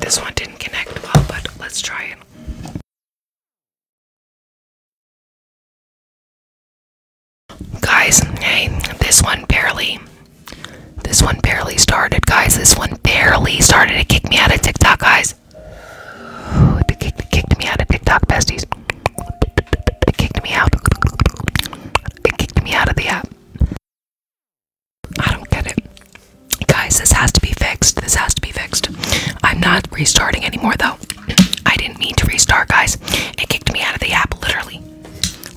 This one didn't connect well, but let's try it. Guys, hey, this one barely. This one barely started, guys. This one barely started. It kicked me out of TikTok, guys. It kicked, it kicked me out of TikTok, besties. It kicked me out. It kicked me out of the app. I don't get it. Guys, this has to be fixed. This has to be fixed. I'm not restarting anymore, though. I didn't mean to restart, guys. It kicked me out of the app, literally.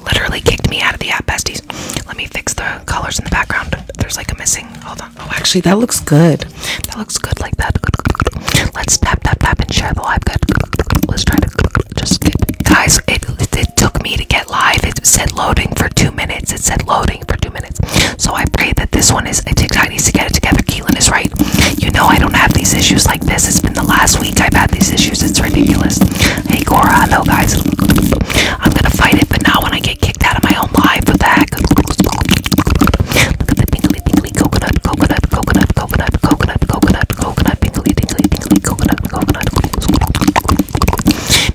Literally kicked me out of the app, besties. Let me fix the colors in the background. There's like a missing. Hold on. Oh, actually, that looks good. That looks good like that. Good, good, good. Let's tap, tap, tap, and share the live. Good. Let's try to just get. Guys, it, it, it took me to get live. It said loading for two minutes. It said loading for two minutes. So I pray that this one is. I TikTok needs to get it together. Keelan is right. You know I don't have these issues like this. It's been the last week I've had these issues. It's ridiculous. Hey Cora, hello guys. I'm gonna fight it, but now when I get kicked out of my own live with that. Look at that tingly tingly coconut, coconut, coconut, coconut, coconut, coconut, coconut, tingly tingly tingly coconut, coconut.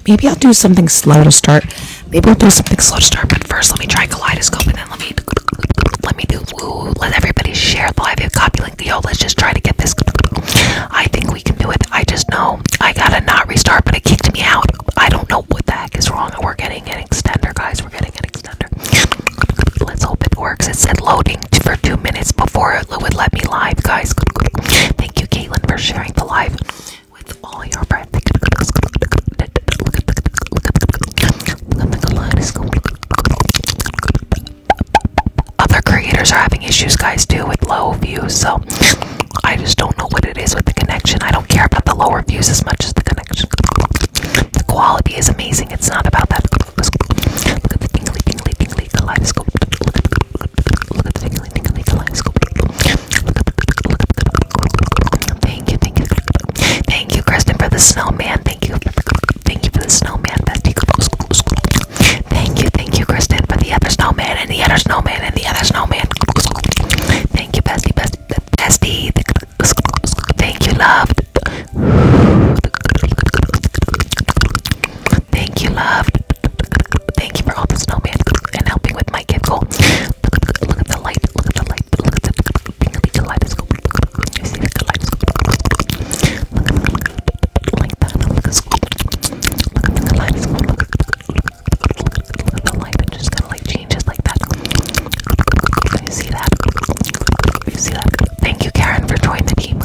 Maybe I'll do something slow to start. Maybe I'll do something slow to start, but first let me try kaleidoscope and then let me let me do Let everybody share the live copy link. Yo, let's just try to get this. I think we can do it. I just know I gotta not restart, but it kicked me out. I don't know what the heck is wrong. We're getting an extender, guys. We're getting an extender. Let's hope it works. It said loading for two minutes before it would let me live, guys. Thank you, King. Caitlin, for sharing the life with all your friends. Other creators are having issues, guys, too, with low views. So I just don't know what it is with the connection. I don't care about the lower views as much as the connection. The quality is amazing. It's not about that. Thank you, Thank you, Kristen, for the snowman. Thank you. Thank you for the snowman, bestie. Thank you, thank you, Kristen, for the other snowman and the other snowman and the other snowman. Thank you, bestie, bestie, bestie. Thank you, love. Thank you, love. Thank you for all the snowman and helping with my gift Look at the light. Look at the light. Look at the tingly You see the kaleidoscope. Look at the like Look at the kaleidoscope. Look at the light. It just kind of like changes like that. You see that? You see that? Thank you, Karen, for joining the team.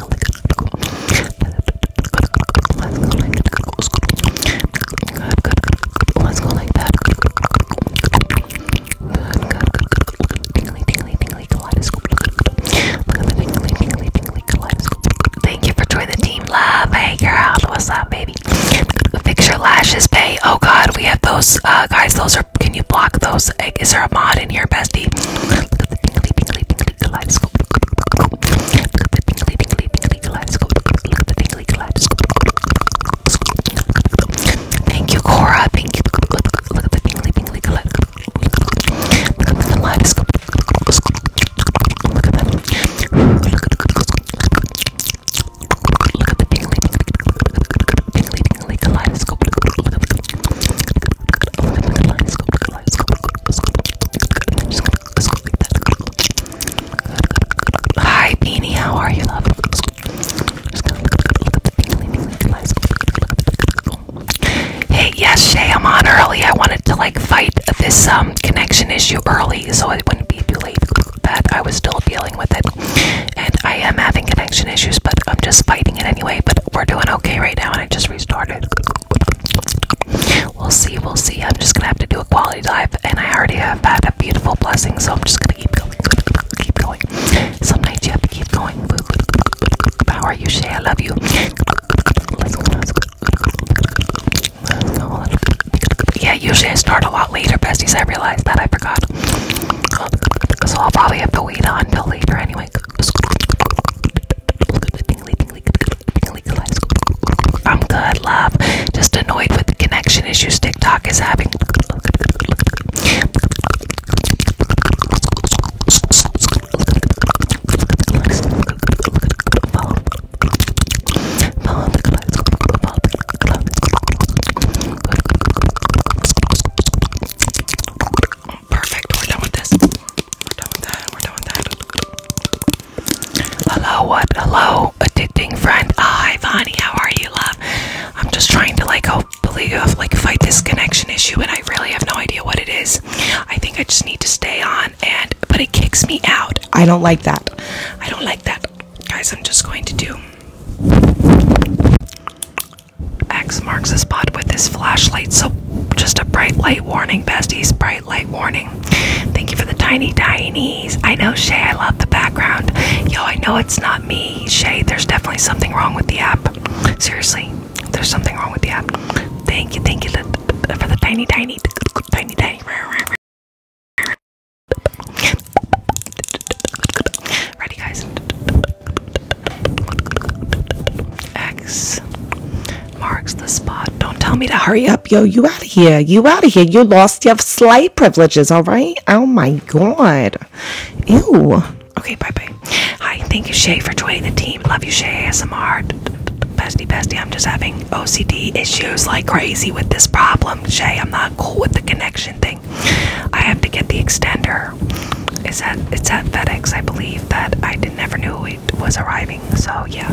Thank you for joining the team, love. Hey, girl, what's up, baby? Fix your lashes, babe. Oh God, we have those, uh, guys. Those are. Can you block those? Is there a mod in here, bestie? kaleidoscope. Look at the tingly, tingly, tingly kaleidoscope. Look at the tingly kaleidoscope. Thank you, Cora. Thank you. Look at the tingly, tingly kaleidoscope. Look at the kaleidoscope. Look at that. Look at the tingly, tingly, tingly kaleidoscope. Look at the kaleidoscope. Look at the kaleidoscope. Look at the kaleidoscope. Look at the kaleidoscope. Look at the kaleidoscope. Hi, Beanie. How are you, love? Hey, yes, Shay. I'm on early. I wanted to like fight this um connection issue early, so it wouldn't be too late. That I was still dealing with it, and I am having connection issues, but I'm just fighting it anyway. But we're doing okay right now, and I just restarted. We'll see, we'll see. I'm just gonna have to do a quality dive, and I already have had a beautiful blessing, so I'm just gonna keep going, keep going. Some nights you have to keep going. How you, Shay? I love you. Yeah, usually I start a lot later, besties. I realized that I forgot. So I'll probably have to wait until later anyway. I'm good, love. Just annoyed with the connection issues TikTok is having. Perfect. We're done with this. We're done that. We're done that. Hello, what? Hello, addicting friend. Hi, Vani. How are you, love? I'm just trying to like oh hopefully like fight this connection issue, and I really have no idea what it is. I think I just need to stay on, and but it kicks me out. I don't like that. I don't like that, guys. I'm just going to do. X marks the spot with this flashlight, so just a bright light warning, besties. Bright light warning. Thank you for the tiny tinies. I know Shay, I love the background. Yo, I know it's not me, Shay. There's definitely something wrong with the app. Seriously, there's something wrong with the app. Thank you, thank you for the tiny tiny tiny tiny. Ready guys. X marks the spot. Don't tell me to hurry up, yo. You out of here. You out of here. You lost your slight privileges, all right? Oh my god. Ew. Okay, bye bye. Hi, thank you, Shay, for joining the team. Love you, Shay ASMR. Bestie, bestie, I'm just having OCD issues like crazy with this problem. Shay, I'm not cool with the connection thing. I have to get the extender. Is that it's at FedEx? I believe that I never knew we was arriving. So, yeah,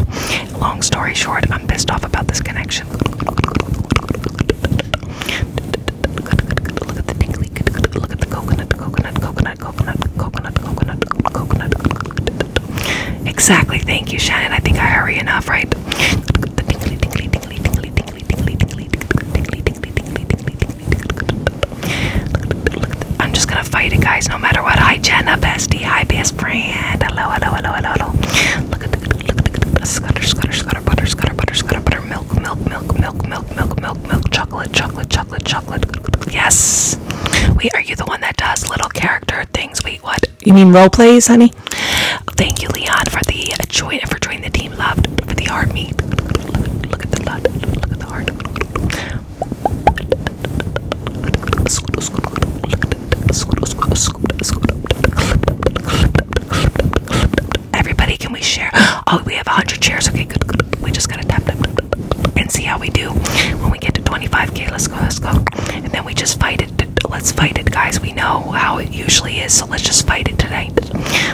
long story short, I'm pissed off about this connection. Look at the tingly, coconut, coconut, coconut, coconut, coconut, coconut, coconut. Exactly, thank you, Shannon. I think I hurry enough, right? I'm just gonna fight it, guys, no matter what. I Jenna, bestie. Hi, bestie his friend. Hello, hello, hello, hello, hello. Look at the look at the scutter, scutter, scutter, butter, scutter, butter, scutter, butter, milk, milk, milk, milk, milk, milk, milk, milk, chocolate, chocolate, chocolate, chocolate. Yes. Wait, are you the one that does little character things? Wait, what? You mean role plays, honey? Thank you, Leon, for the join for joining the team. Loved for the hard meat. Look at the lot. Look at the heart. Look at Everybody, can we share? Oh, we have 100 shares. Okay, good, good. We just gotta tap them and see how we do when we get to 25k. Let's go, let's go. And then we just fight it. Let's fight it, guys. We know how it usually is, so let's just fight it tonight.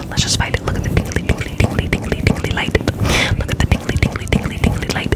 Let's just fight it. Look at the tingly, tingly, tingly, tingly, tingly light. Look at the tingly, tingly, tingly, tingly light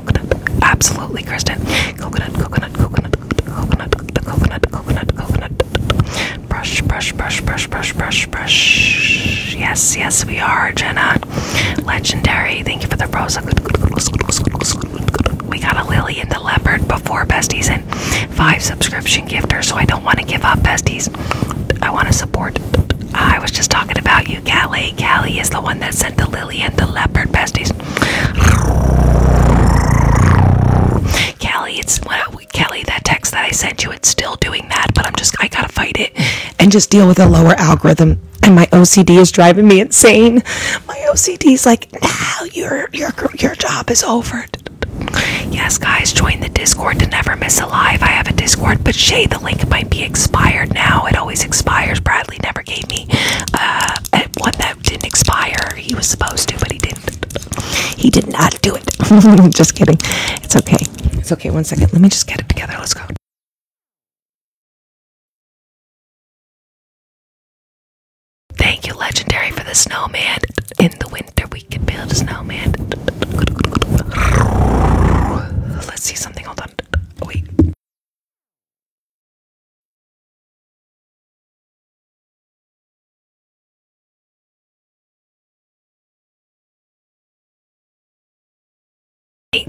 coconut. Absolutely, Kristen. Coconut, coconut, coconut, coconut, coconut, coconut, coconut. Brush, brush, brush, brush, brush, brush, brush. Yes, yes, we are, Jenna. Legendary. Thank you for the rose. We got a Lily in the leopard before besties and five subscription gifters, so I don't want to give up besties. I want to support. I was just talking about love you, Callie. Callie is the one that sent the lily and the leopard besties. Callie, it's well, Kelly, that text that I sent you, it's still doing that, but I'm just, I gotta fight it and just deal with a lower algorithm. And my OCD is driving me insane. My OCD is like, now your, your, your job is over. Yes, guys, join the Discord to never miss a live. I have a Discord, but Shay, the link might be expired now. It always expires. Bradley never gave me uh, one that didn't expire. He was supposed to, but he didn't. He did not do it. just kidding. It's okay. It's okay. One second. Let me just get it together. Let's go. Thank you, Legendary, for the snowman. In the winter, we can build a snowman. Let's see something. Hold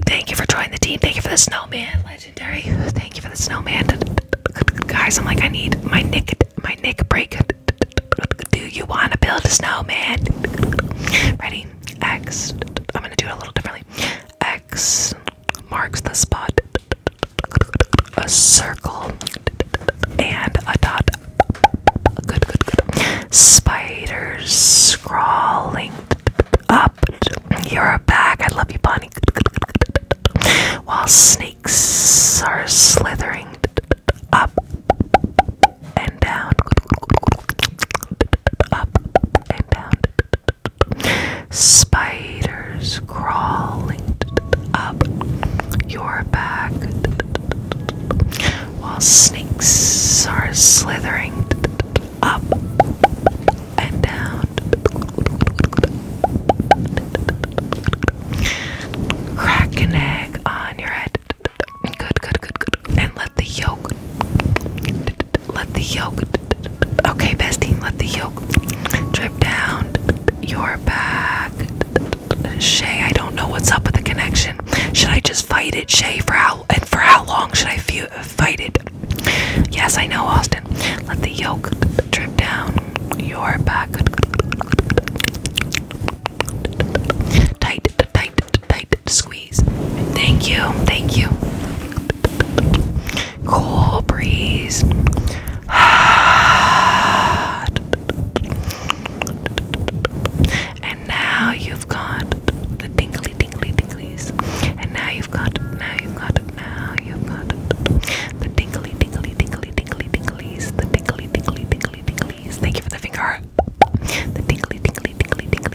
Thank you for joining the team. Thank you for the snowman, legendary. Thank you for the snowman, guys. I'm like, I need my nick, my nick break. Do you want to build a snowman? Ready? X. I'm gonna do it a little differently. X marks the spot a circle and a dot. Spiders crawling up you your back. I love you, bunny. While snakes are slithering up and down, up and down, Spiders crawling up your back while snakes are slithering up and down. Crack an egg on your head. Good, good, good, And let the yolk let the yolk. Okay, bestie, let the yolk drip down your back. Shay, I don't know what's up with the connection. Should I just fight it, Shay? For how and for how long should I fight it? Yes, I know, Austin. Let the yolk drip down your back. Tight, tight, tight squeeze. Thank you, thank you cool breeze. and now you've got the tingly, tingly, tinglies. And now you've got now you've got now you've got The tingly, tingly, tingly, tingly, tinglies. The tingly, tingly, tingly, tinglies. Thank you for the finger. The tingly, tingly, tingly, tingly,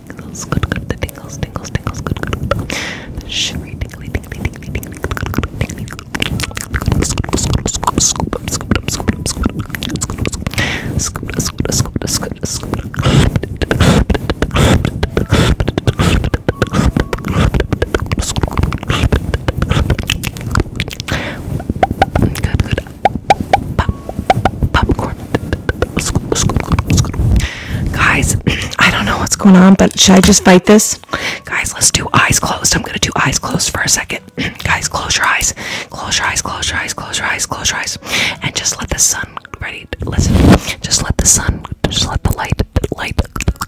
tingles, good, good, the tingles, tingles, tingles, good, good, good. The shimmery, tingly, tingly, tingly, tingly, tingly, Good, good. Popcorn. Guys, I don't know what's going on, but should I just fight this? Guys, let's do eyes closed. I'm gonna do eyes closed for a second. Guys, close your eyes. Close your eyes, close your eyes, close your eyes, close your eyes. And just let the sun ready listen. Just let the sun, just let the light light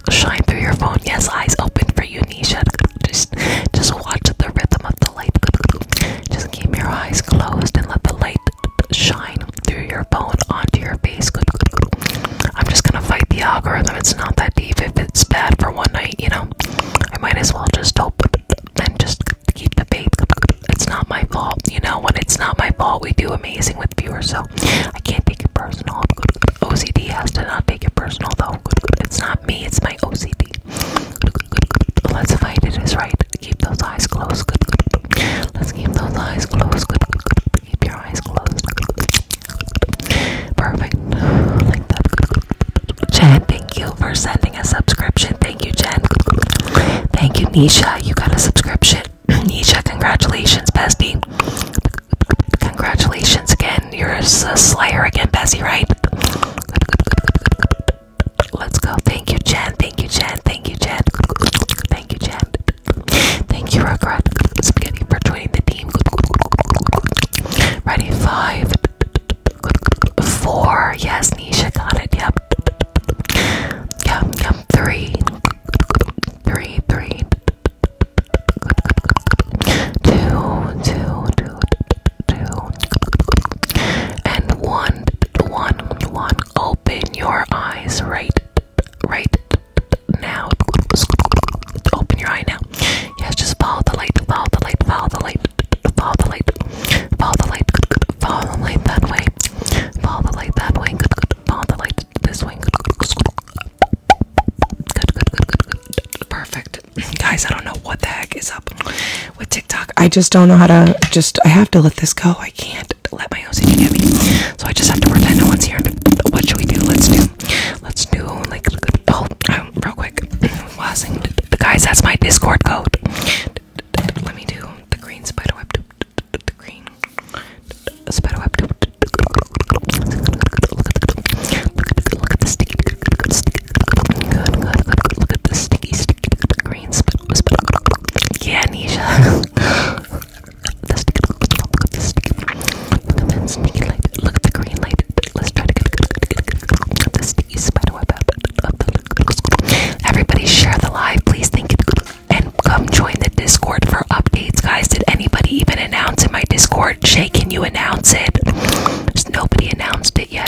shine through your phone. Yes, eyes open for you, Nisha. Just just watch the rhythm of the light. Just keep your eyes closed and let the light shine through your phone onto your face. I'm just gonna fight the algorithm. It's not that deep. If it's bad for one night, you know, I might as well just hope and just keep the faith. It's not my fault, you know. When it's not my fault, we do amazing with viewers, so I can't take it personal. OCD has to not take it personal, though. It's not me. It's my OCD. Let's fight it is right keep those eyes closed. Let's keep those eyes closed. Keep your eyes closed. Perfect. Like Jen, thank you for sending a subscription. Thank you, Jen. Thank you, Nisha. You got a subscription. Nisha, congratulations, bestie. Congratulations again. You're a slayer again, Bessie, right? Let's go. Thank you, Jen. Thank you, Jen. Thank you, Jen. Thank you, Jen. Thank you, Rugrat. Spaghetti for joining the team. Ready? Five. Four. Yes, Nisha got it. Yep. Yep, yep. Three. And one, one, one. Open your eyes right right now. Open your eye now. Yes, just follow the light, follow the light, follow the light, follow the light, follow the light, follow the light that way, follow the light that way, follow the light this way. Good, good, good, good, good. Perfect. Guys, I don't know what the heck is up with TikTok. I just don't know how to just I have to let this go. I can't can't let my OCD get me. So I just have to pretend no one's here. What should we do? Let's do, let's do like, oh, um, real quick. Wasing, guys, that's my Discord code. Let me do the green spider web. The green spider web. Look at the sticky, good, good, look at the sticky, sticky green spider. Yeah, Nisha. the sticky look at the sticky the sticky light look at the green light let's try to get, get, get, get, the sticky everybody share the live please thank you and come join the discord for updates guys did anybody even announce in my discord Shay can you announce it nobody announced it yet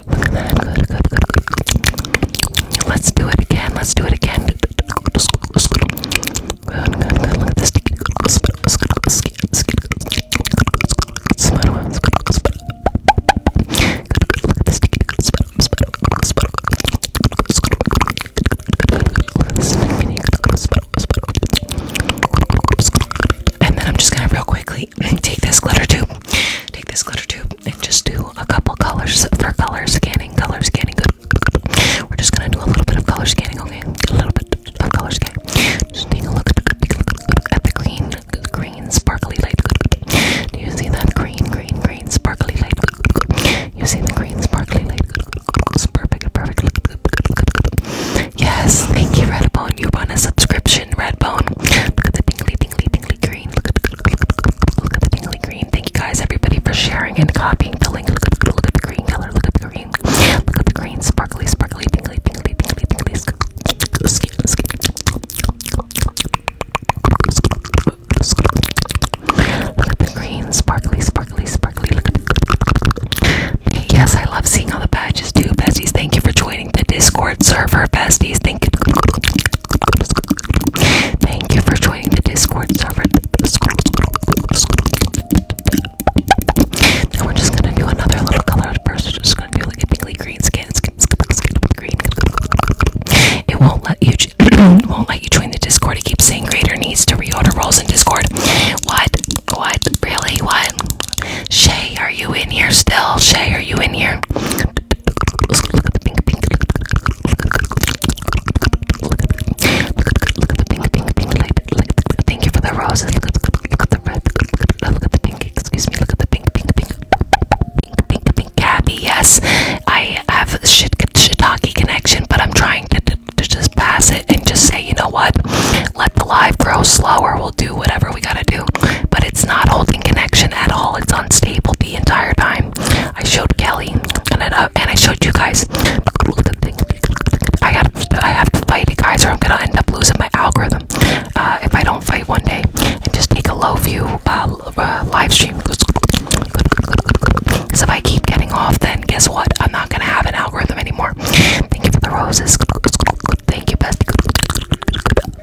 Look at that. Good, good, good, good. Let's do it again. Let's do it again. Good, good, good. Look at this. And then I'm just gonna real quickly take this glitter tube, take this glitter tube, and just do a couple colors for color scanning. Color scanning, good, We're just gonna do a little bit of color scanning, okay? A little bit of color scanning. Just take a look at the green, green sparkly light. Do you see that green, green, green sparkly light? You see the green sparkly light? It's perfect, perfect. Yes, thank you, Redbone. You want a subscription? Kitchen red bone. Look at the tingly, tingly, tingly green. Look at the, look, look, look at the tingly green. Thank you guys, everybody, for sharing and copying the link. Look at, look at the green color. Look at the green. Look at the green. Sparkly, sparkly, tingly, tingly, tingly, tingly. Look at the green. Sparkly, sparkly, sparkly. Look at the Yes, I love seeing all the badges too, besties. Thank you for joining the Discord server, besties. Thank you. for joining the Discord server. And we're just gonna do another little colored person. Just gonna do like a pinkly green skin. It won't let you. won't let you join the Discord. It keeps saying greater needs to reorder roles in Discord. What? What? Really? What? Shay, are you in here still? Shay, are you in here? Look at the pink, pink. Look at the pink, pink, pink light. Thank you for the roses. Look at the red. Look at the pink. Excuse me. Look at the pink, pink, pink. Pink, pink, pink. Gabby, yes. I have a shiitake connection, but I'm trying to, to, to just pass it and just say, you know what? Let the live grow slower do whatever we gotta do. But it's not holding connection at all. It's unstable the entire time. I showed Kelly and I, uh, and I showed you guys. I have, I have to fight it, guys, or I'm gonna end up losing my algorithm uh, if I don't fight one day and just take a low view uh, uh, live stream. Because if I keep getting off, then guess what? I'm not gonna have an algorithm anymore. Thank you for the roses. Thank you, bestie.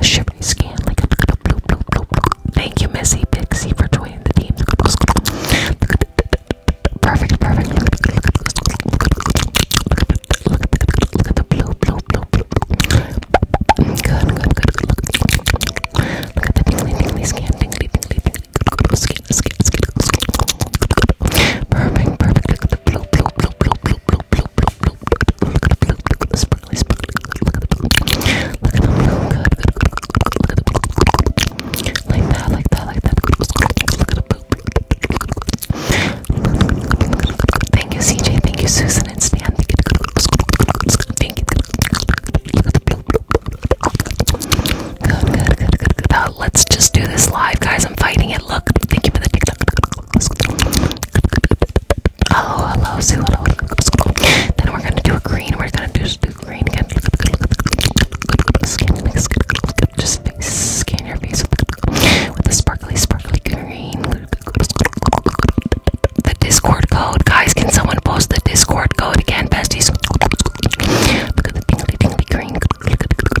A shimmery skin, like a blue, blue, blue, blue. Thank you, Missy Pixie, for joining the team. Perfect, perfect. Look at the blue, blue, blue, blue. Good, good, good. Look at the tingly, tingly skin, tingly, tingly, tingly. Skin, skin, skin. Perfect, perfect at the blue, blue, blue, blue, blue, blue, blue, blue, blue. Look at the blue, look at the sparkly, sparkly. Look at the blue, look at the blue. Good, good, good, good. Look at the blue. Like that, like that, like that. Look at the blue. Thank you, CJ. Thank you, Susan and Stan. Thank you. Look at the blue. Good, good, good, good, good. That uh, let's just do this live, guys. I'm fighting it. Look, thank you for the TikTok. Hello, hello, Sue. Hello. Then we're gonna do a green. We're gonna just do green again. Scan, just scan your face with the sparkly, sparkly green. The Discord code, guys. Can someone post the Discord code again, besties? Look at the tingly, tingly green. Look at the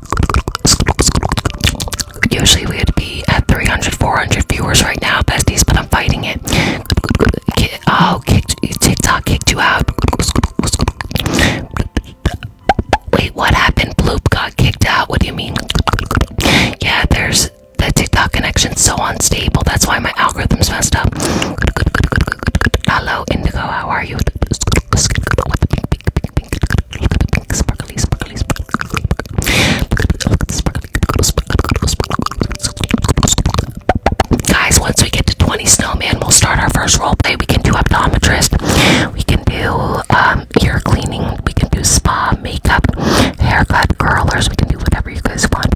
Usually we would be at 300, 400 viewers right now, besties, but I'm fighting it. Oh, TikTok kicked you out. Wait, what happened? Bloop got kicked out. What do you mean? Yeah, there's the TikTok connection so unstable. That's why my algorithm's messed up. Hello, Indigo. How are you? pink, Guys, once we get to 20 snowman, we'll start our first role play. We can do optometrist. We can do um, ear cleaning. We can do spa, makeup, haircut, curlers. We can do whatever you guys want.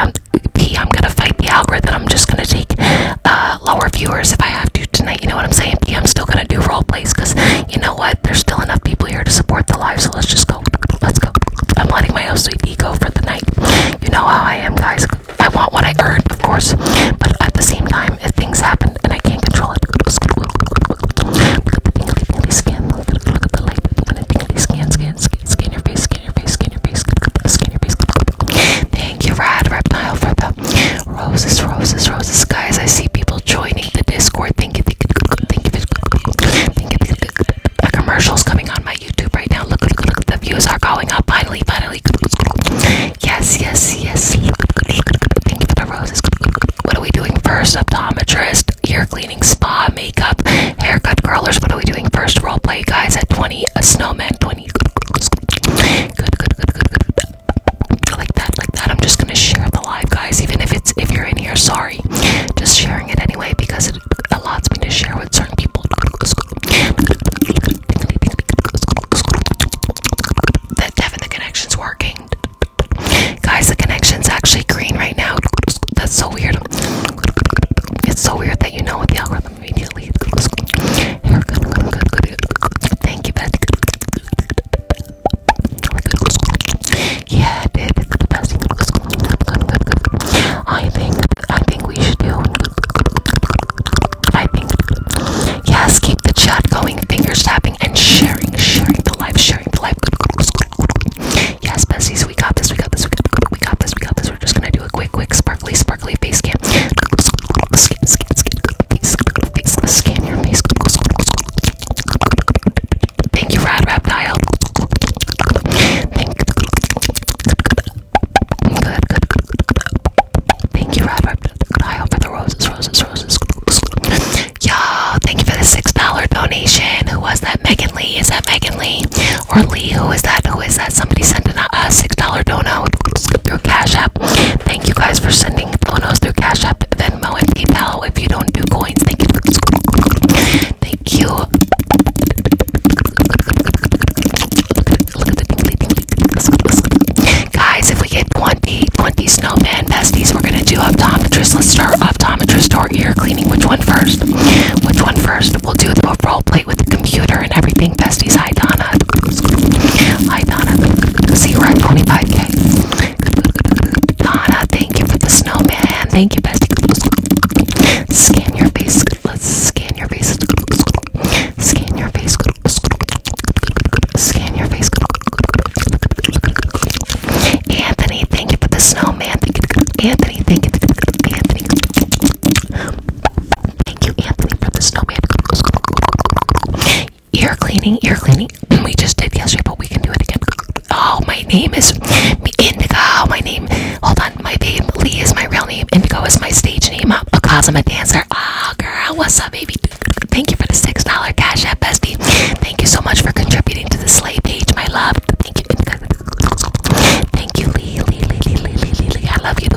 Um, P, I'm gonna fight the algorithm. I'm just gonna take uh, lower viewers if I have to tonight. You know what I'm saying? P, I'm still gonna do role plays you know what? There's still enough people here to support the live, so let's just go. Let's go. I'm letting my own sweet ego for the night. You know how I am, guys. I want what I earned, of course, but at the same time, if things happen and I can't control it. Look at the tingly, tingly skin. Look at the light. Look at the tingly skin, skin, skin, skin your face, skin your face, skin your face, skin your face. Thank you, Rad Reptile, for the Roses, roses, roses, guys. I see people joining the Discord. Thank you, thank you, thank The commercials coming on my YouTube right now. Look, look, look. The views are going up. Finally, finally. Yes, yes, yes. Look, look, look. Thank you for the roses. What are we doing first? Optometrist, ear cleaning, spa, makeup, haircut, curlers. What are we doing first? Role play, guys. At 20, a snowman. 20. good, good. good like that like that i'm just gonna share the live guys even if it's if you're in here sorry just sharing it anyway because it allows me to share with certain people that having the connections working guys the connection's actually green right now that's so weird it's so weird that you know what the algorithm immediately thank you Beth. Yeah, it did. It's the best thing. I think, I think we should do. I think. Yes, keep the chat going, fingers tapping, and sharing, sharing the live, sharing the live. Yes, besties, we got this, we got this, we got this, we got this, we got this. We're just gonna do a quick, quick, sparkly, sparkly face cam. Scan, scan, scan, face, face, scan your face. Thank you, Rad Reptile. Thank you. Good, good, good, good. Thank you, Rad Reptile, for the roses, roses, roses. Y'all, thank you for the $6 donation. Who was that? Megan Lee? Is that Megan Lee? Or Lee? Who is that? Who is that? Somebody sent a uh, $6 dono through Cash App. Thank you guys for sending donos through Cash App, Venmo, and PayPal if you don't do coins. Thank you. Thank you. Guys, if we get 20, 20 snowman besties, we're gonna do optometrist. Let's start optometrist or ear cleaning. Which one first? Which one first? We'll do the role play with the computer and everything. Besties, hi Donna. Hi Donna. See, you are at 25k. Donna, thank you for the snowman. Thank you, bestie. Scan your face. Let's scan your face. Scan your face. Scan your face. Anthony, thank you for the snowman. Anthony, thank you. Anthony. Thank you, Anthony, for the snowman ear cleaning, ear cleaning. We just did yesterday, but we can do it again. Oh, my name is Indigo. My name, hold on, my babe Lee is my real name. Indigo is my stage name. Because I'm a dancer. Ah, oh, girl, what's up, baby? Thank you for the six dollar cash app, bestie. Thank you so much for contributing to the sleigh page, my love. Thank you, thank you, Lee, Lee, Lee, Lee, Lee, Lee, Lee. I love you.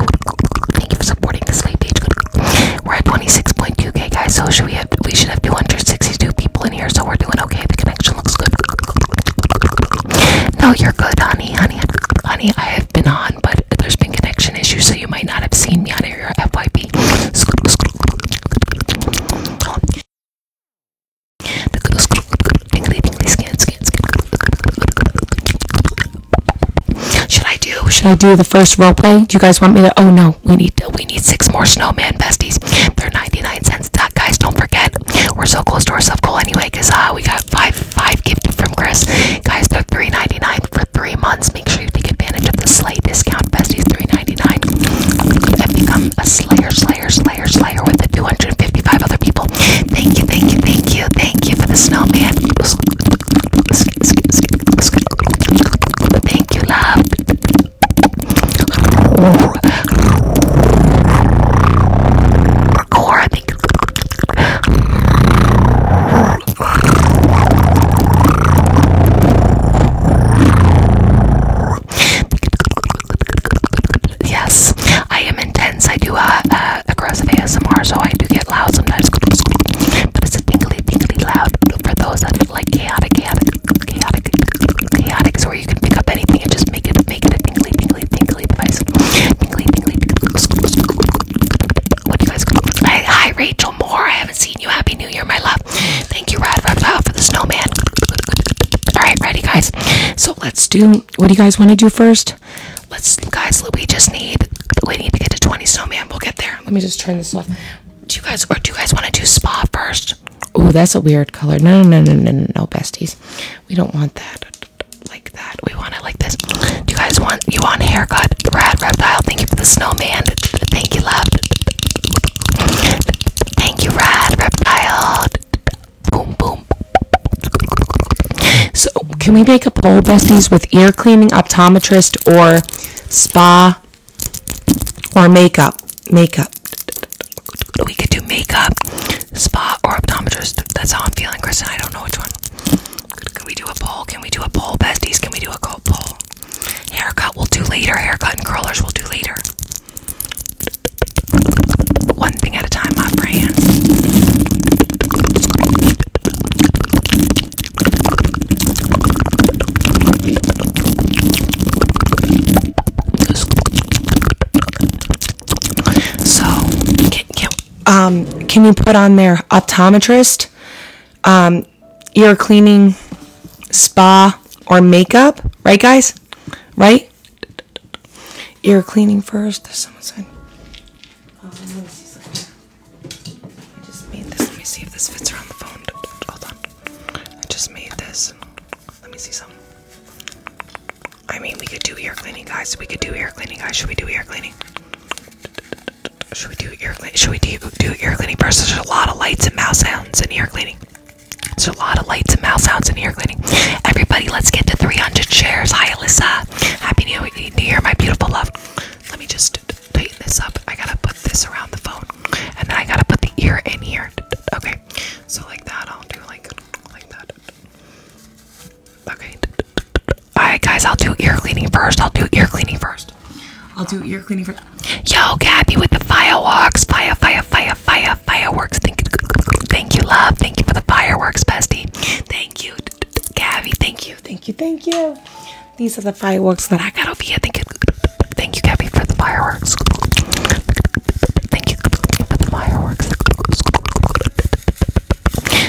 Thank you for supporting the sleigh page. We're at 26.2k, guys. So should we have we should have 262 people in here. So we're doing okay. The connection looks good. No, you're good, honey, honey, honey. I have been on, but there's been connection issues, so you might not have seen me on your FYP. Should I do? Should I do the first role play? Do you guys want me to? Oh no, we need we need six more snowman besties. They're 99 cents. guys, don't forget. We're so close to our self goal anyway, cause uh, we got five five gift from Chris. Guys, they're 3.99 for three months. Make sure you take advantage of the sleigh discount. Besties 3.99 and become a slayer, slayer, slayer, slayer with the 255 other people. Thank you, thank you, thank you, thank you for the snowman. Thank you, love. Yes, I am intense. I do uh, uh aggressive ASMR, so I do get loud sometimes. But it's a tingly, tingly loud for those that like chaotic, chaotic, chaotic, chaotic, so where you can pick up anything and just make it, make it a tingly, tingly, tingly device. Tingly, tingly, What do you guys call this? Hi, hi, Rachel Moore. I haven't seen you. Happy New Year, my love. Thank you, Rad Rad, for the snowman. All right, ready, guys. So let's do. What do you guys want to do first? Let's, guys. We just need. We need to get to 20 snowman. We'll get there. Let me just turn this off. Do you guys or do you guys want to do spa first? Oh, that's a weird color. No, no, no, no, no, no, besties. We don't want that like that. We want it like this. Do you guys want you want haircut? Rad reptile. Thank you for the snowman. Thank you, love. Thank you, Rad reptile. Boom, boom. So, can we make a poll, besties, with ear cleaning, optometrist, or spa? or makeup. Makeup. We could do makeup, spa, or optometrist. That's how I'm feeling, Kristen. I don't know which one. Can we do a poll? Can we do a poll, besties? Can we do a poll? Haircut we'll do later. Haircut and curlers we'll do later. One thing at a time, my friend. So, can, um, can you put on their optometrist, um, ear cleaning, spa, or makeup? Right, guys? Right? Ear cleaning first. There's someone said. Oh, let me see if this fits around the phone. I just made this. Let me see some. I mean, we could do ear cleaning, guys. We could do ear cleaning, guys. Should we do ear cleaning? Should we do ear cleaning? Should we do, do ear cleaning There's a lot of lights and mouse sounds in ear cleaning. There's a lot of lights and mouse sounds in ear cleaning. Everybody, let's get to 300 shares. Hi, Alyssa. Happy New Year, my beautiful love. Let me just tighten this up. I gotta put this around the phone and then I gotta put the ear in here. Okay, so like that, I'll do like like that. Okay, alright, guys, I'll do ear cleaning first. I'll do ear cleaning first. I'll do ear cleaning first. Yo, Gabby with the fireworks, fire, fire, fire, fire, fireworks. Thank you, thank you, love. Thank you for the fireworks, bestie. Thank you, Gabby. Thank you, thank you, thank you. These are the fireworks that I got over here. Thank you. Thank you, Gabby, for the fireworks. Thank you for the fireworks.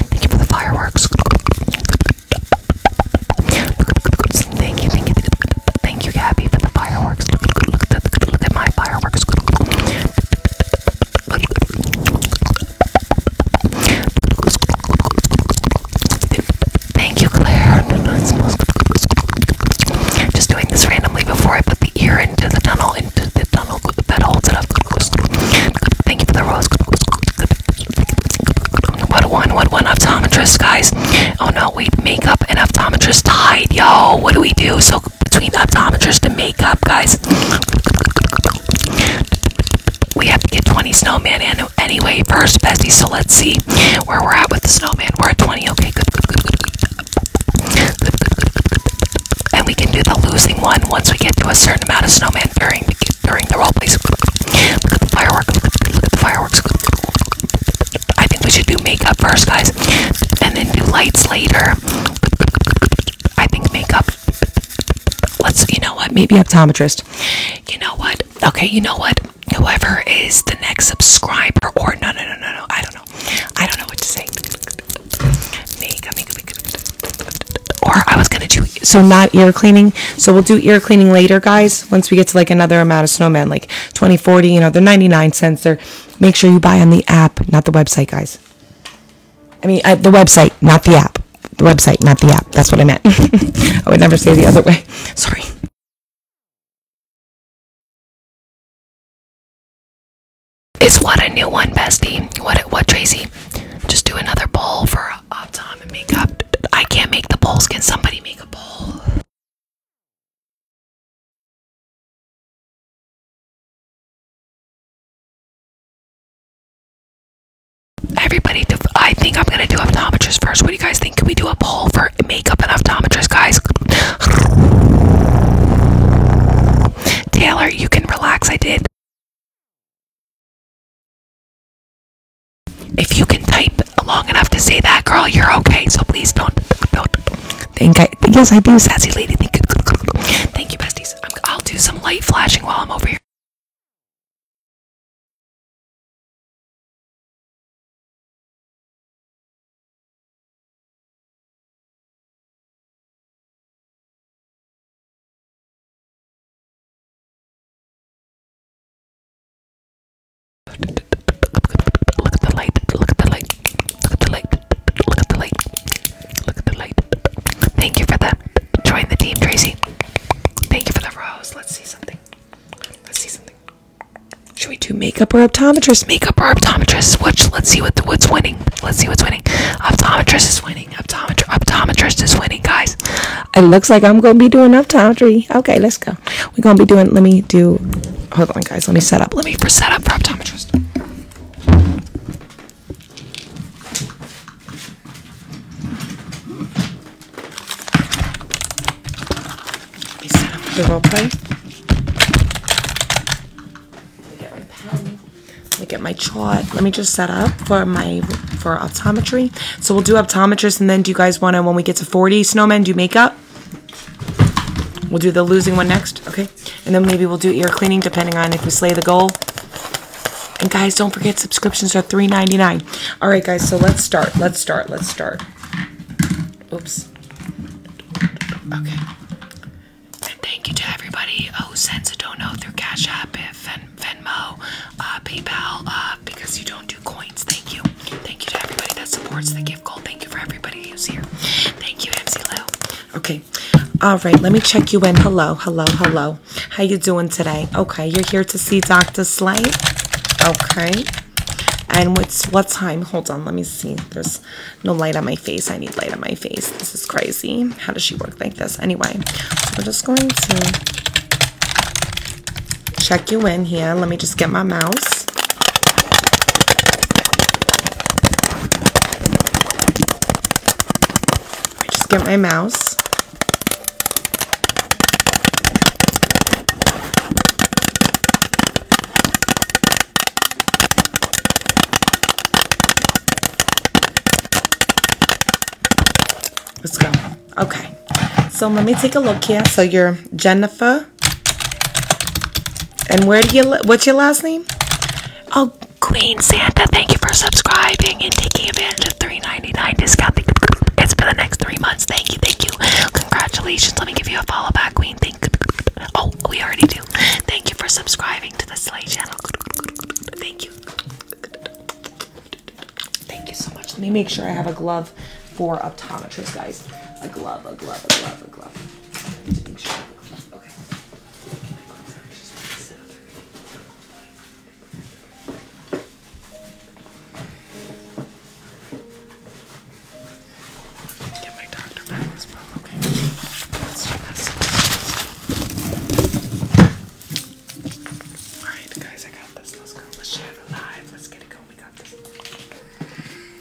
Thank you for the fireworks. Thank you, thank you, thank you, Gabby, for the fireworks. my fireworks. Thank you, Claire. Just doing this randomly before I put the ear into the tunnel, into the tunnel that holds it up. Thank you for the rose. What one, what one optometrist, guys? Oh no, wait, makeup and optometrist tied. Yo, what do we do? So between optometrist and makeup, guys. We have to get 20 snowman And anyway first, bestie. So let's see where we're at with the snowman. We're at 20. Okay, good, And we can do the losing one once we get to a certain amount of snowman during during the role plays. fireworks. fireworks. I think we should do makeup first, guys, and then do lights later. I think makeup. Let's, you know what? Maybe optometrist. You know what? Okay, you know what? Whoever is the next subscriber, or no, no, no, no, no, I don't know. I don't know what to say. Make, make, or I was gonna do so not ear cleaning. So we'll do ear cleaning later, guys. Once we get to like another amount of snowman, like 2040, you know, they're 99 cents. They're make sure you buy on the app, not the website, guys. I mean, uh, the website, not the app. The website, not the app. That's what I meant. I would never say the other way. Sorry. It's what a new one, bestie. What what Tracy? Just do another bowl for up makeup. I can't make the bowls. Can somebody make a bowl? Everybody, I think I'm gonna do optometrists first. What do you guys think can we do a poll for makeup and optometrists, guys? Taylor, you can relax. I did. If you can type long enough to say that, girl, you're okay. So please don't don't think I. Yes, I do, sassy lady. Thank you, thank you, besties. I'm, I'll do some light flashing while I'm over here. Look at the light, look at the light, look at the light, look at the light, look at the light. Thank you for that. Join the team, Tracy. Thank you for the rose. Let's see something. Let's see something. Should we do makeup or optometrist? Makeup or optometrist? Which? Let's see what the, what's winning. Let's see what's winning. Optometrist is winning. Optometr optometrist is winning, guys. It looks like I'm gonna be doing optometry. Okay, let's go. We're gonna be doing. Let me do. Hold on, guys. Let me set up. Let me set up for optometrist. Is set up the role play. Let me get my pen. Let get my chart. Let me just set up for my for optometry. So we'll do optometrist, and then do you guys want to when we get to 40 snowmen do makeup? We'll do the losing one next, okay? And then maybe we'll do ear cleaning depending on if we slay the goal. And guys, don't forget subscriptions are $3.99. All right, guys, so let's start. Let's start. Let's start. Oops. Okay. And thank you to everybody who oh, sends a dono through Cash App, eh, Ven Venmo, uh, PayPal, uh, because you don't do coins. Thank you. Thank you to everybody that supports the gift goal. Thank you for everybody who's here. Thank you, MC Lou. Okay. All right. Let me check you in. Hello. Hello. Hello. How you doing today? Okay. You're here to see Dr. Slate. Okay. And what's what time? Hold on, let me see. There's no light on my face. I need light on my face. This is crazy. How does she work like this? Anyway, we're just going to check you in here. Let me just get my mouse. Let just get my mouse. Let's go. Okay. So let me take a look here. So you're Jennifer. And where do you, what's your last name? Oh, Queen Santa, thank you for subscribing and taking advantage of 3.99 discount. It's for the next three months. Thank you, thank you. Congratulations. Let me give you a follow back, Queen. Oh, we already do. Thank you for subscribing to the Slay channel. Thank you. Thank you so much. Let me make sure I have a glove for optometrists, guys. A glove, a glove, a glove, a glove okay? Let's do this. Alright, guys, I got this. Let's go. Let's share the live. Let's get it going. We got this.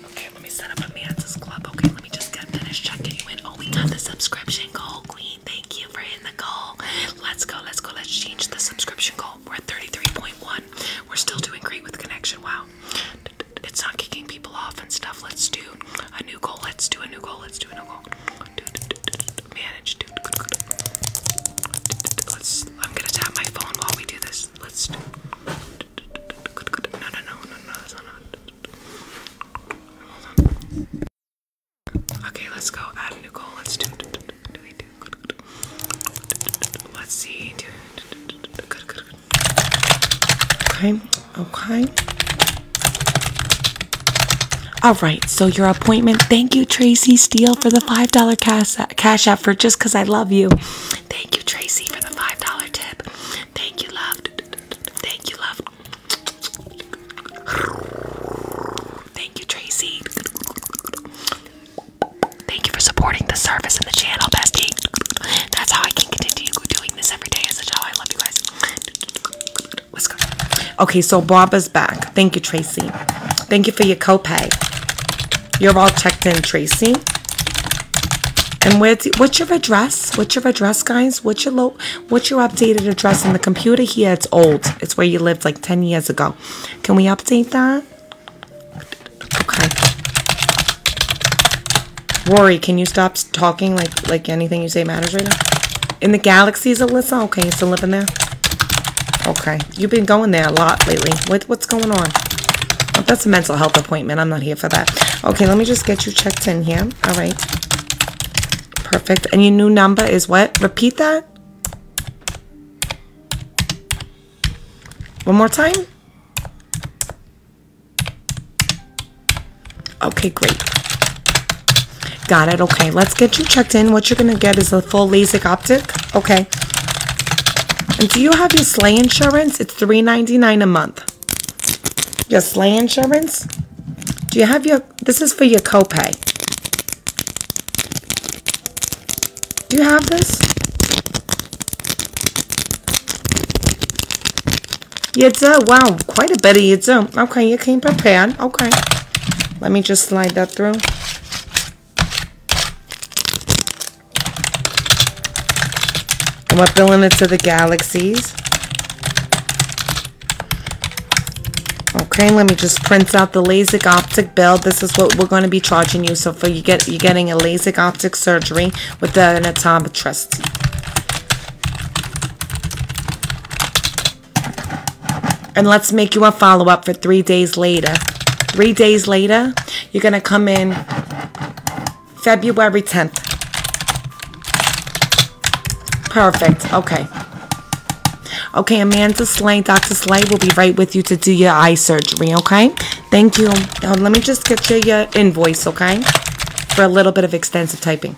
Okay, let me set up a man's club. Okay, let me just get finished checking you in. Oh, we got the subscription goal, Queen. Thank you for hitting the goal. Let's go, let's go, let's change the subscription goal. We're at 33.1. We're still doing great with connection. Wow it's not kicking people off and stuff. Let's do a new goal. Let's do a new goal. Let's do a new goal. Manage. Let's. I'm gonna tap my phone while we do this. Let's. Do, no, no, no, no, no, that's not. Hold on. Okay, let's go add a new goal. Let's do. Do we do? Let's see. Good, good, good, Okay, okay. All right, so your appointment. Thank you, Tracy Steele, for the $5 cash, cash offer. for just because I love you. Thank you, Tracy, for the $5 tip. Thank you, love. Thank you, love. Thank you, Tracy. Thank you for supporting the service and the channel, bestie. That's how I can continue doing this every day. As a child, I love you guys. Okay, so Barbara's back. Thank you, Tracy. Thank you for your copay. You're all checked in, Tracy. And where's what's your address? What's your address, guys? What's your low? What's your updated address in the computer here? It's old. It's where you lived like ten years ago. Can we update that? Okay. Rory, can you stop talking like like anything you say matters right now? In the galaxies, Alyssa? Okay, still living there? Okay. You've been going there a lot lately. what's going on? Oh, that's a mental health appointment. I'm not here for that. Okay, let me just get you checked in here. All right. Perfect. Any new number is what? Repeat that. One more time. Okay, great. Got it. Okay, let's get you checked in. What you're going to get is a full LASIK optic. Okay. And do you have your slay insurance? It's three ninety nine dollars a month. Your slay insurance? Do you have your, this is for your copay. Do you have this? You do? Wow, quite a bit of you do. Okay, you came prepared. Okay. Let me just slide that through. I'm are filling it to the galaxies. Okay, let me just print out the LASIK optic bill. This is what we're going to be charging you. So for you get you're getting a LASIK optic surgery with the Natamba trustee. And let's make you a follow up for three days later. Three days later, you're going to come in February 10th. Perfect. Okay. Okay, Amanda Slay, Dr. Slay will be right with you to do your eye surgery, okay? Thank you. let me just get you your invoice, okay? For a little bit of extensive typing.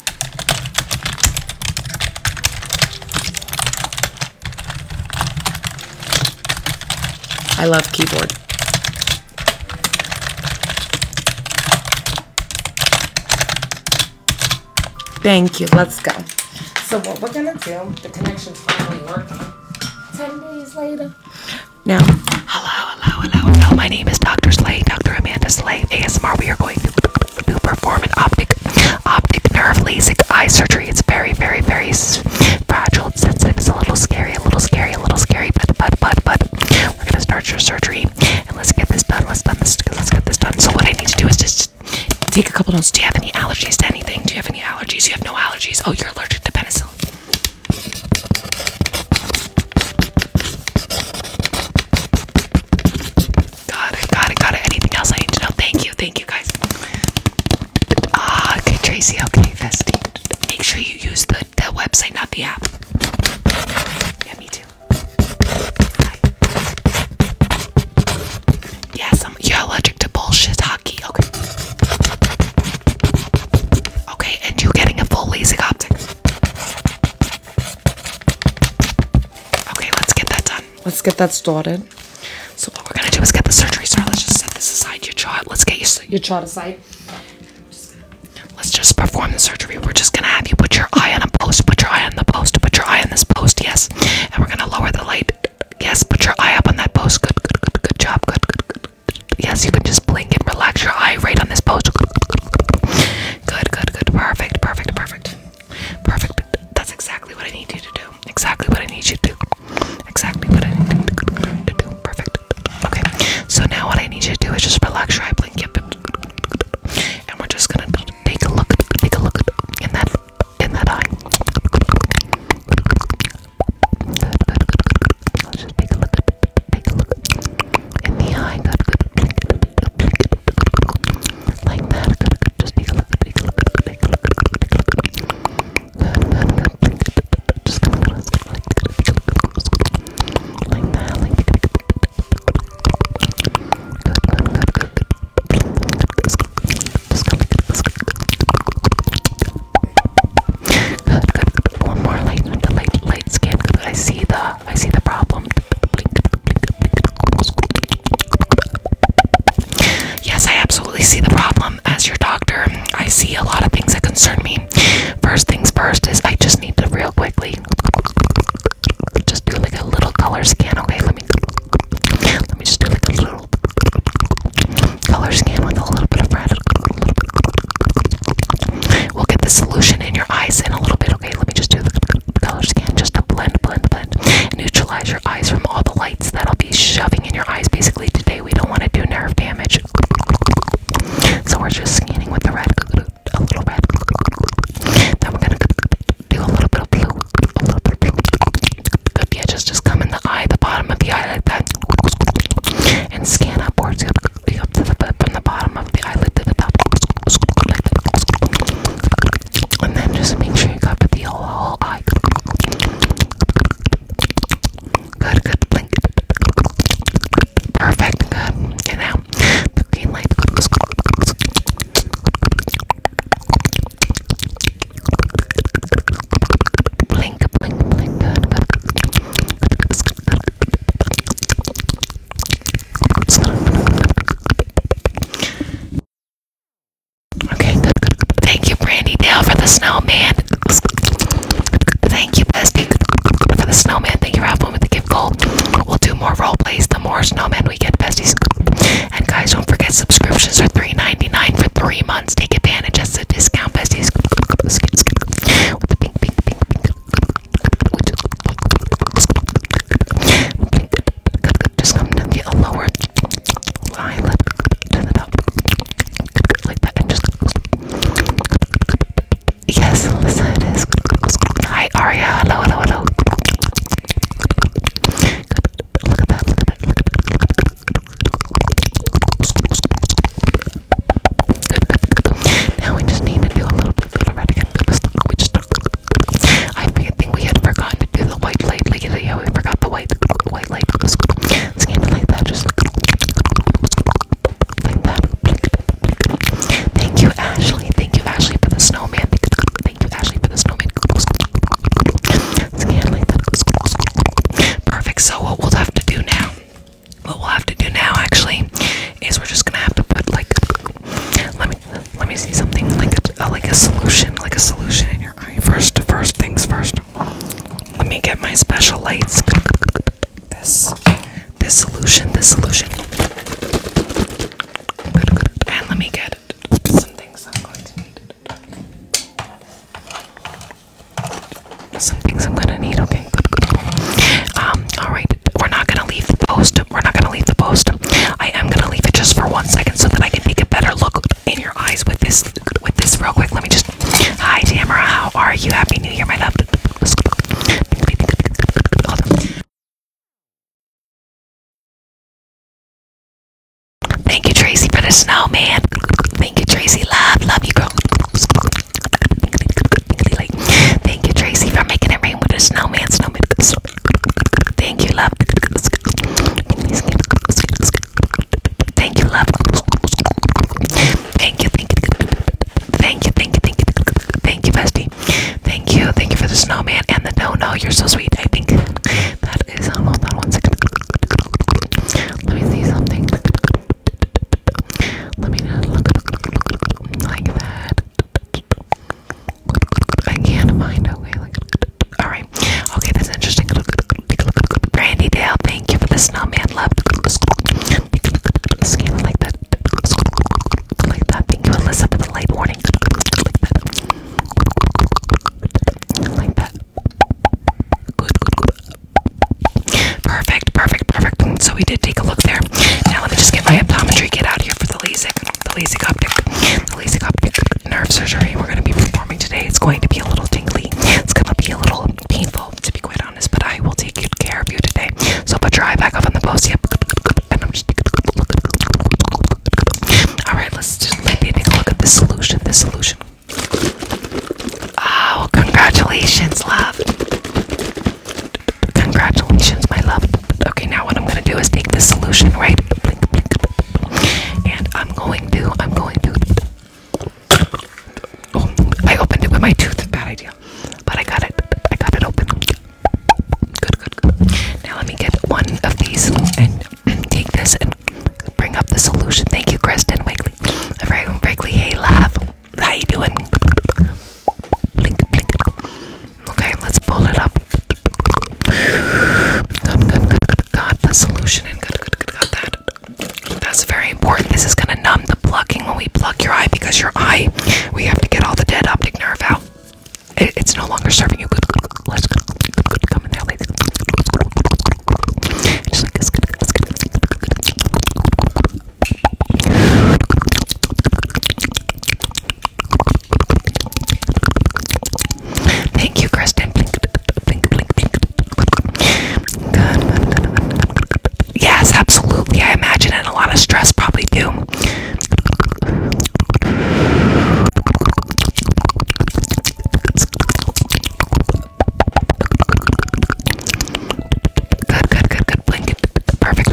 I love keyboard. Thank you. Let's go. So what we're going to do, the connection finally working. 10 days later. Now, hello, hello, hello, hello. My name is Dr. Slay, Dr. Amanda Slay. ASMR. We are going to, perform an optic, optic nerve LASIK eye surgery. It's very, very, very fragile, and sensitive. It's a little scary, a little scary, a little scary, but, but, but, but we're gonna start your surgery and let's get this done. Let's get this. done. Let's get this done. So what I need to do is just take a couple notes. Do you have any allergies to anything? Do you have any allergies? You have no allergies. Oh, you're allergic to penicillin. Got it, got it, got it. Anything else I need to know? Thank you, thank you guys. Ah, okay, Tracy, okay, Festy. Make sure you use the, the website, not the app. Yeah, me too. Yes, I'm, you're allergic to bullshit hockey. Okay. Okay, and you are getting a full LASIK optic. Okay, let's get that done. Let's get that started. So what we're gonna do is get the surgery started. Let's just set this aside. Your chart. Let's get your your chart aside. let's just perform the surgery. We're just gonna have you put your eye on a post. Put your eye on the post. Put your eye on this post. Yes. And we're gonna lower the light. Yes. Put your eye up on that post. Good. Good. Good. Good job. Good. Good. Good yes, you can just blink and relax your eye right on this post. Good, good, good. Perfect, perfect, perfect. Perfect. That's exactly what I need you to do. Exactly what I need you to do. Exactly what I need you to do. Perfect. Okay. So now what I need you to do is just relax your eye, blink, And we're just gonna take a look, take a look in that in that eye. Good, good, good, good. Let's just take a look. Take a look in the eye. Good, good. Like that. Good, good. Just take a look. Take a look. Take a look. Take a look. Good, good, good. Just take a look. Like that. Like that. Good, good, good, good. Just come. Good, good, good. One more light, light, light skin. I see the, I see the problem. Yes, I absolutely see the problem. As your doctor, I see a lot of things that concern me. First things first is I just need to real quickly just do like a little color scan. Okay, let me let me just do like a little color scan with a little bit of red, a We'll get the solution in your eyes in a little bit. Okay, let me just do the color scan just to blend, blend, blend. Neutralize your eyes from all the lights that'll be shoving in your eyes. Basically, today we don't want to do nerve damage. So we're just scanning with the red, a little red. Then we're going to do a little bit of blue, a little bit of blue. yeah, just, just come in the eye, the bottom of the eye like And scan upwards up to the from the bottom of the eyelid to the top, like that. and then just make sure you cover the whole, whole eye. Good, good, blink. Perfect, good. And now the green light. Blink, blink, blink. Good, good. Okay. Thank you, Brandy Dale, for the snowman. Thank you, Bestie, for the snowman. Thank you, Ralph, with the gift gold. We'll do more role plays. The more snowmen we get, besties. And guys, don't forget subscriptions are $3.99 for three months. Take advantage. That's the discount, besties. Just come to get a lower eye lip, turn it up like that, and just yes, that's how it is. Hi, Aria. Hello, hello, hello. Look at that. Look at that. Look at that now we just need to do a little bit little red again. We just I think we had forgotten to do the white light. Like yeah, we forgot the white white light. It's that, just Thank you, Ashley. Thank you, Ashley, for the snowman. Thank you, Ashley, for the snowman. It's that. Perfect. So what we'll have to do now what we'll have to do now, actually, is we're just gonna have to put like let me let me see something like a, like a solution, like a solution in your eye first. First things first. Let me get my special lights. This this solution, this solution. And let me get some things I'm going to need. Some things I'm gonna need. Okay, good, good. Um, all right. We're not gonna leave the post. We're not gonna leave the post. I am gonna leave it just for one second so that I can make a better look in your eyes with this, with this real quick. Let me just. Hi, Tamara. How are you? Happy New Year, my love. Thank you, Tracy, for the snowman. Thank you, Tracy. Love, love you, girl. Like, thank you, Tracy, for making it rain with a snowman. Snowman. Thank you, love. Thank you, love. Thank you, thank you, thank you, thank you, thank you, thank you, bestie. Thank you, thank you for the snowman and the no, no. You're so sweet. I think that is almost on one second. Let me see something. Let me look like that. I can't find a way. Like, all right. Okay, that's interesting. Brandy Dale, thank you for the snowman love. Scan like that. Like that. Thank you, Alyssa, for the late warning. Like that. Like that. Good, good, good. Perfect, perfect, perfect. So we did take a look there. Now let me just get my optometry kit out here for the LASIK, the LASIK optic, the LASIK optic nerve surgery we're going to be performing today. It's going to be a little tingly. It's going to be a little painful, to be quite honest, but I will take good care of you today. So put your eye back up on the post, yep. All right, let's just take a look at the solution. The solution. Oh, congratulations, love. Congratulations, my love. Okay, now what I'm gonna do is take this solution, right? And I'm going to, I'm going to. Oh, I opened it with my tooth. Bad idea. But I got it. I got it open. Good, good, Now let me get one of these and take this and bring up the solution. Thank you, Kristen Wakeley. Very, Wakely, hey, love. How you doing? Blink, blink. Okay, let's pull it up. Good, Got the solution and good, good, Got that. That's very important. This is gonna numb the plucking when we pluck your eye because your eye, we have to get all the dead optic nerve out. it's no longer serving you. Let's Come in there, like Thank you, Kristen. Yes, absolutely. I imagine, and a lot of stress probably do. Good, good, good, good. Blink. Perfect.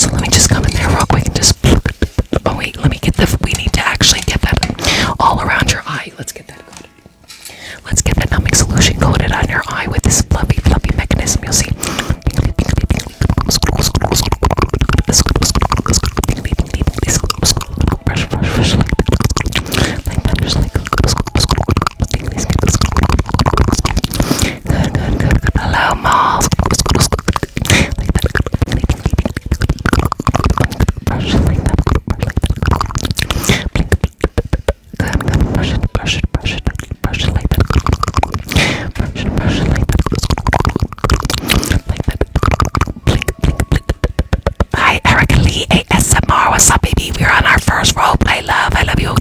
So let me just come in there real quick and just. Oh wait, let me get the. We need to actually get that all around your eye. Let's get that coated. Let's get that numbing solution coated on your eye with this fluffy, fluffy mechanism. You'll see. Brush, brush, brush. Like that, just like. Good, good, good, good. Hello, Miles. it, like that. Hi, Erica Lee ASMR. What's up, baby? We're on our first roleplay, love. I love you.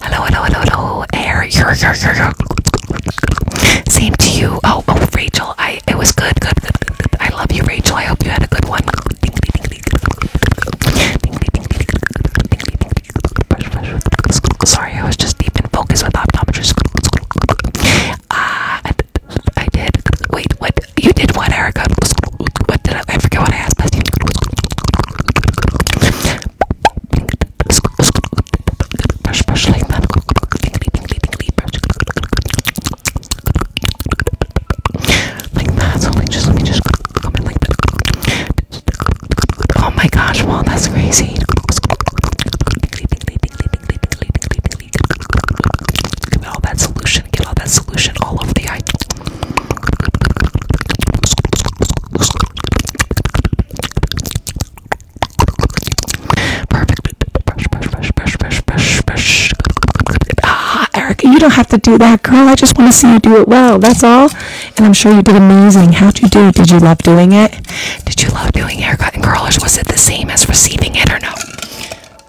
Hello, hello, hello, hello. Air. Same to you. Oh, oh, Rachel. I. It was good, good, good, good, good. I love you, Rachel. I hope you had a good one. Sorry, I was just deep in focus with optometrist. Ah, uh, I did. Wait, what? You did what, Erica? What did I? I forget what I asked. Bestie. Brush, brush like that. Tingly, tingly, tingly, brush. Like that. So like, just let me just come in like that. Oh my gosh! Wow, that's crazy. Tingly, tingly, tingly, tingly, tingly, tingly, tingly. Get all that solution. Get all that solution all over the eye. Perfect. Ah, Erica, you don't have to do that, girl. I just want to see you do it well. That's all. And I'm sure you did amazing. How'd you do? Did you love doing it? Did you love doing haircut and curlers? Was it the same as receiving it or no?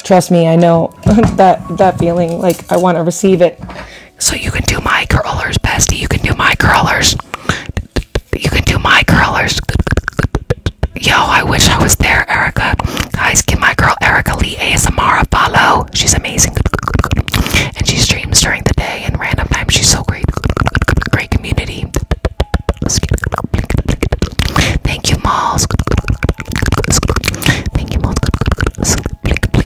Trust me, I know that that feeling. Like I want to receive it. So you can do my curlers, bestie. You can do my curlers. You can do my curlers. Yo, I wish I was there, Erica. Guys, give my girl Erica Lee ASMR a follow. She's amazing. And she streams during the day and random times. She's so great. Great community. Thank you, Malls. Thank you, Malls take, a look at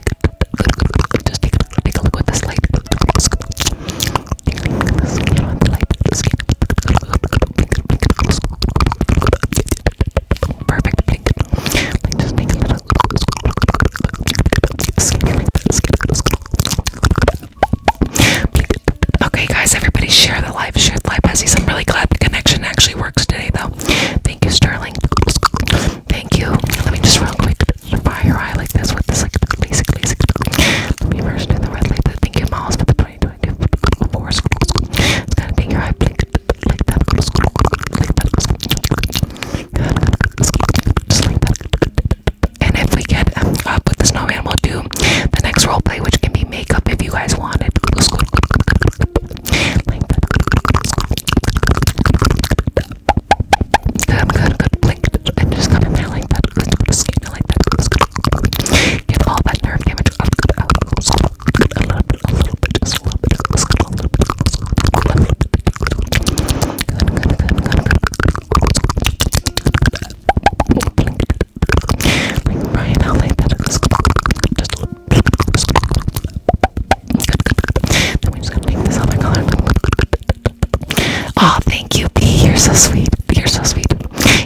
Okay guys, everybody share the live, share the live message. I'm really glad the connection actually works today though. Thank you, Sterling. Thank you. Let me just real quick fire your eye like this with this like LASIK, LASIK. Let me immersion in the red light that think it miles for the 2024 It's gonna make your eye blink like that. Like that. Just like that. And if we get um, up with the snowman, we'll do the next roleplay, which can be makeup if you guys want it. Like that. Good, good, good. Blink. And just come in there like that. Let's go to skin like that. Get all that nerve damage up. A little bit, a little bit, just a little bit. A little bit. A little bit. Good, good, good, good, good. Blink. Blink right now like that. Just a little bit oh, thank you, B. You're so sweet. You're so sweet.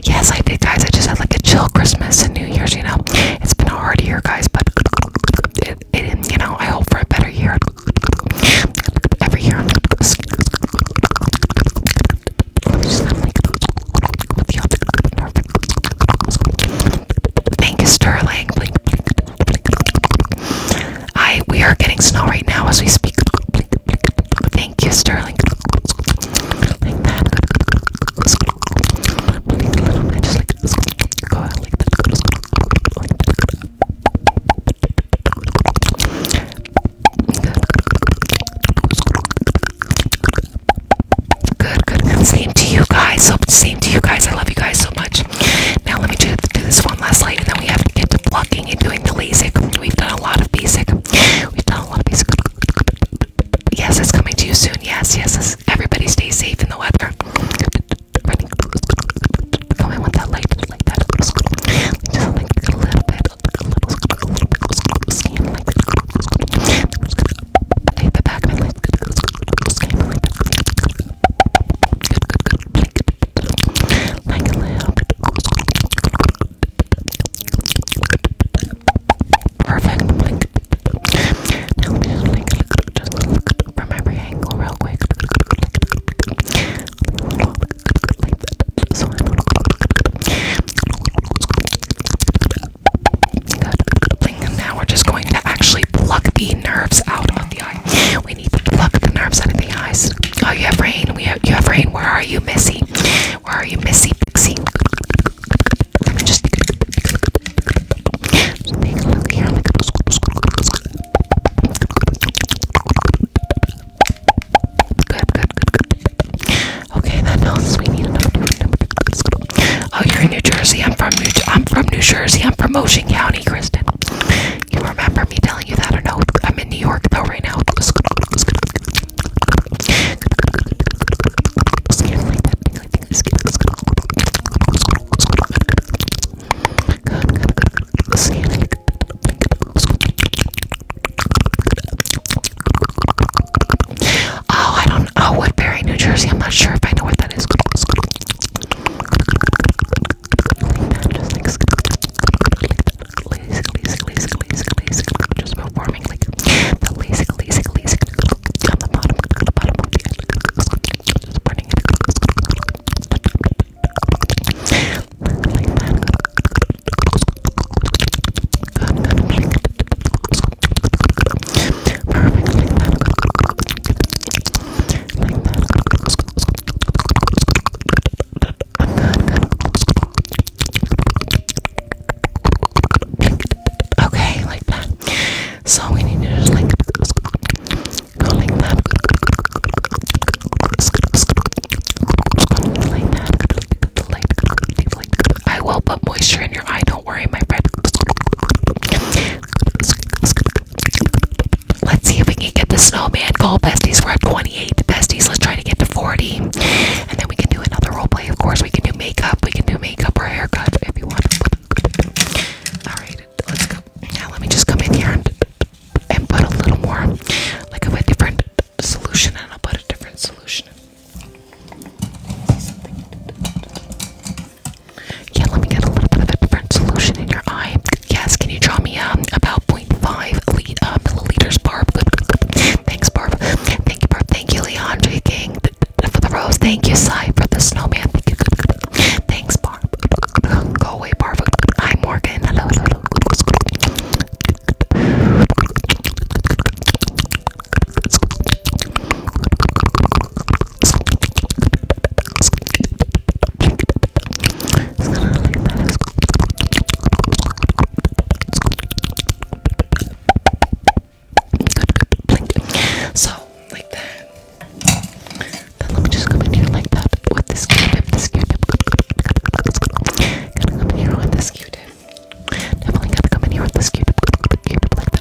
Yes, I did, guys. I just had like a chill Christmas and New Year's, you know. It's been a hard year, guys, but it, it, you know, I hope for a better year. Every year, Thank you, Sterling. I we are getting snow right now as we speak. Thank you, Sterling. Good, good, Same to you guys. same to you guys. I love you guys so much. Now let me do, do this one last light, and then we have to get to plucking and doing the LASIK. We've done a lot of basic. We've done a lot of basic. Yes, it's coming to you soon. Yes, yes. Everybody stay safe in the weather. I want that light just like that. Just like a little bit. A little, bit like a little perfect. Now let me just like look, just look from every angle real quick. Like that. So I know. Good. And now we're just going to actually pluck the nerves out of the eye. We need to pluck the nerves out of the eyes. Oh, you have rain. We have you have rain. Where are you, Missy? Where are you, Missy? Pixie. Okay, that helps. We need Oh, you're in New Jersey. I'm from New. I'm from New Jersey. I'm from Ocean County, Kristen. You remember me telling you that or no. I'm in New York though right now. Oh, I don't know. Woodbury, New Jersey. I'm not sure if I know what that is like that, just like lazy, lazy, lazy, lazy, lazy, just performing like the lazy, lazy, lazy on the bottom, on the bottom of the end, just burning it like that. Perfect, like that. Like that. Okay, like that. So we need to just like go like that. Like that. Like, like, I will put moisture in your eye, don't worry, my friend. Let's see if we can get the snowman goal. Besties, we're at 28. Besties, let's try to get to 40. And then we can do another role play, of course. We can do makeup. We can do makeup or haircut if you want. Alright, let's go. Now let me just come in here and, and put a little more, like a different solution, and I'll put a different solution. Yeah, let me get a little bit of a different solution in your eye. Yes, can you draw me a about 0.5 lead, uh, milliliters, Barb? Thanks, Barb. Thank you, Barb. Thank you, Leandre King, for the rose. Thank you, Sai, for the snowman. Thanks, Barb. Go away, Barb. Hi, Morgan. Hello, hello, hello. So, like that. Then let me just come in here like that with this Q-tip, this Q-tip. Gonna come in here with this Q-tip. Definitely gotta come in here with this Q-tip, Q-tip like that.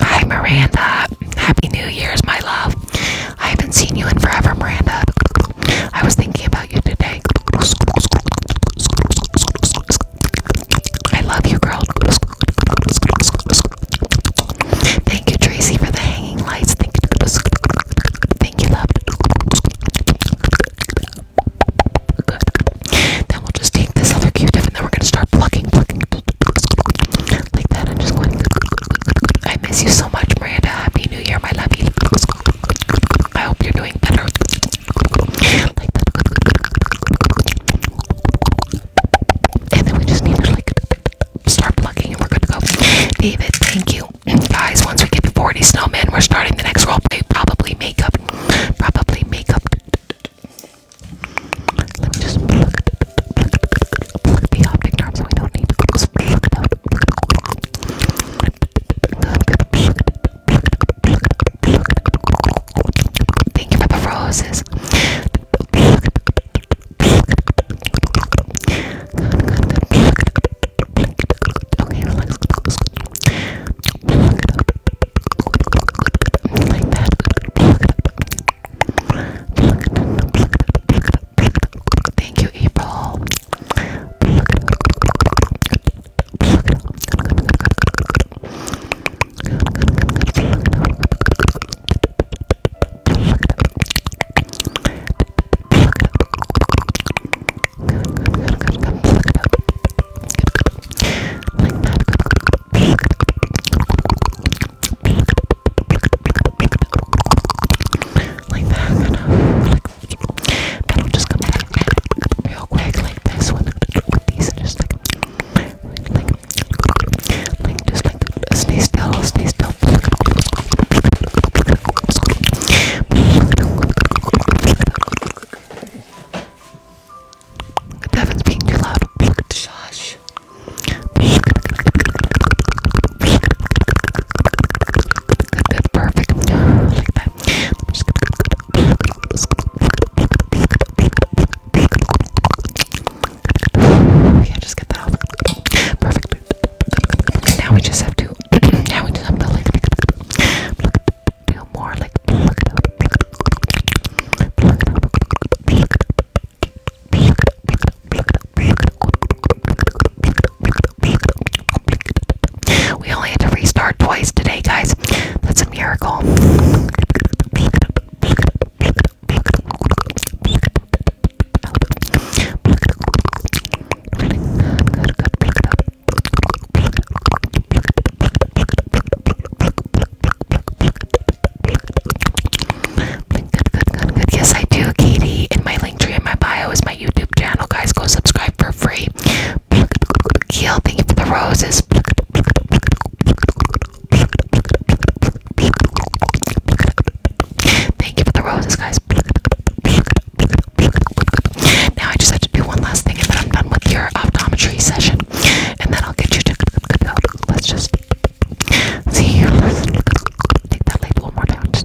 Hi Miranda. Happy New Year's, my love. I haven't seen you in forever, Miranda. I was thinking about you today. I love you, girl. Thank you, Tracy, for the hanging lights. Thank you. love. Then we'll just take this other Q and then we're gonna start plucking, plucking like that. i miss you so much, Miranda. Happy New Year, my love. I hope you're doing better. And then we just need to like start plugging and we're good to go. David, thank you. Guys, once we get to 40 snowmen, we're starting the next role. Probably makeup. Probably makeup. Let me just plug, the optic nerve we don't need Thank you for the roses. Okay, relax. Like that. Thank you, April. Pluck like that, like that'll just come back real quick like this one with these and just like like like just Stay still, stay still. being too loud. Shush. perfect. Yeah, just get that off. Perfect. And now we just have to. now we just have to like feel more like pluck it up, pluck it up, pluck it up, pluck it up, pluck it up, pluck it up, pluck it up. We only had to restart twice today, guys. That's a miracle. Pluck it up, pluck it up, pluck it up, pluck it up, pluck it up, pluck it up, Yes, I do, Katie. In my link tree in my bio is my YouTube channel. Guys, go subscribe for free. Keel, thank you for the roses. Thank you for the roses, guys. Now I just have to do one last thing, and then I'm done with your optometry session, and then I'll get you to. Let's just see. let take that light one more time. Just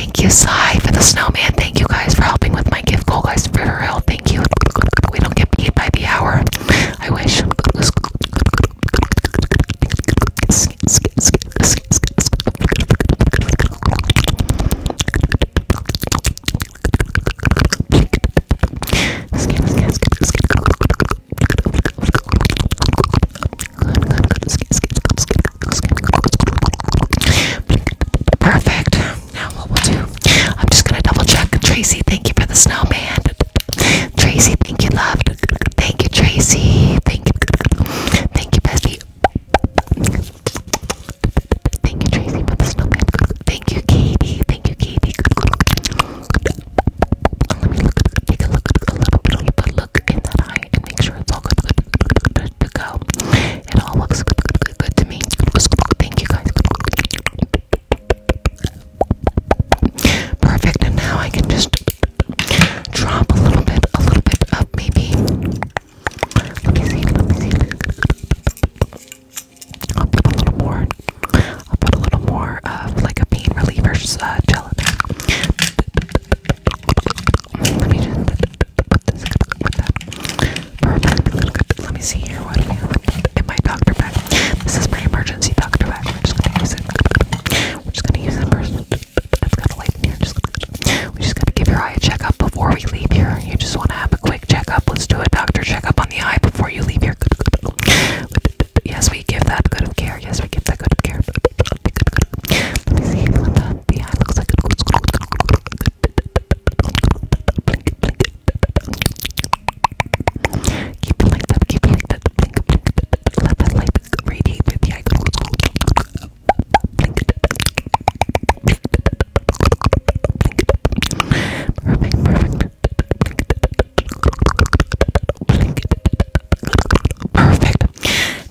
Thank you, Sai, for the snowman. Thank you guys for helping with my gift goal, guys. For real, thank you. We don't get paid by the hour. I wish. Perfect now what we'll do, I'm just gonna double check. Tracy, thank you for the snowman. Tracy, thank you, love. Thank you, Tracy. Thank you. Thank you, Bessie. Thank you, Tracy, for the snowman. Thank you, Katie. Thank you, Katie. Let me look, take a look, a little bit of a look in that eye and make sure it's all good. Good, good, good, it all looks good, to me. Perfect, and now I can just drop a little bit, a little bit up, maybe. Let me see, let me see. I'll put a little more, I'll put a little more of like a pain reliever uh, Let me just. Let me see here what do we doctor This is my emergency doctor bag. We're just gonna use it. We're just gonna use it 1st got a light in here. Just we just gotta give your eye a checkup before we leave here. You just wanna have a quick checkup. Let's do a doctor checkup on the eye before you leave here. Yes, we give that good care. Yes, we give that good care. Let me see the eye looks like. Keep it like that, keep it like that. Blink, blink, let that light radiate with the eye. Blink, perfect, perfect. Blink, perfect.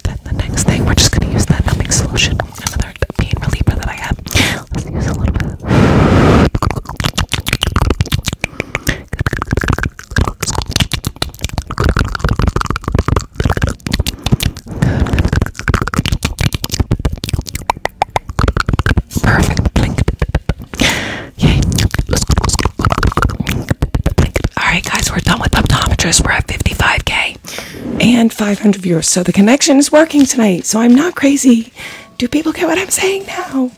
Then the next thing, we're just gonna use that numbing solution another pain reliever that I have. Perfect. Yay. Alright guys, we're done with optometrists. We're at 55k and 500 viewers. So the connection is working tonight. So I'm not crazy. Do people get what I'm saying now?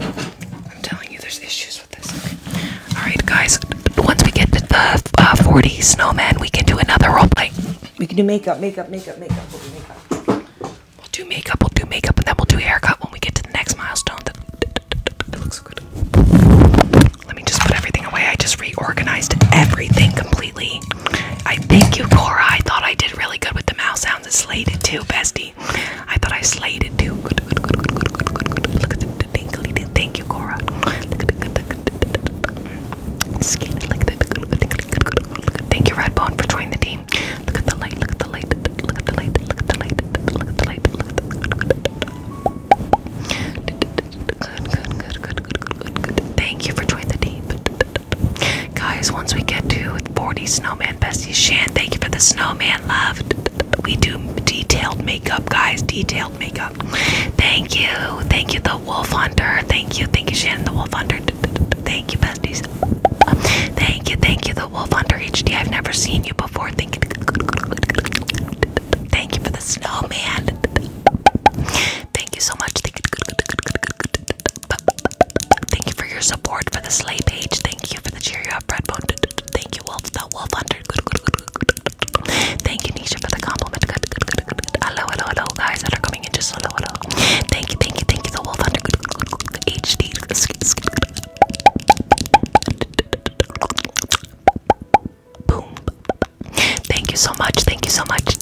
I'm telling you, there's issues with this. All right, guys. Once we get to the uh, 40 snowman, we can do another role play. We can do makeup, makeup, makeup, makeup. We'll do makeup. We'll do makeup. We'll do makeup, and then we'll do haircut when we get to the next milestone. That looks good. Let me just put everything away. I just reorganized everything completely. I thank you, Cora. I thought I did really good with the mouse sounds. It slayed it too, bestie. I thought I slayed it too. Good, good, good, good, good, good, good, good. Look at the tingly. Thank you, Cora. Look at the skin. Look at the Thank you, Redbone, for joining the team. Look at the light. Look at the light. Look at the light. Look at the light. Look at the light. Look at the light. Good, good, good, good, good, good, good, good. Thank you for joining the team. Guys, once we get to 40 snowman besties, Shan, thank you for the snowman love. We do detailed makeup, guys. Detailed makeup. Thank you. Thank you, the wolf hunter. Thank you. Thank you, Shannon, the wolf hunter. Thank you, besties. Thank you, thank you, the wolf hunter HD. I've never seen you before. Thank you. Thank you for the snowman. Thank you so much. Thank you for your support for the sleigh page. Thank you for the cheer you up bread bone. Thank you, Wolf the Wolf Hunter. Thank you, Nisha, for the compliment. Hello, hello, hello, guys that are coming in. Just hello, hello. Thank you, thank you, thank you, the Wolf Hunter. HD. Boom. Thank you so much. Thank you so much.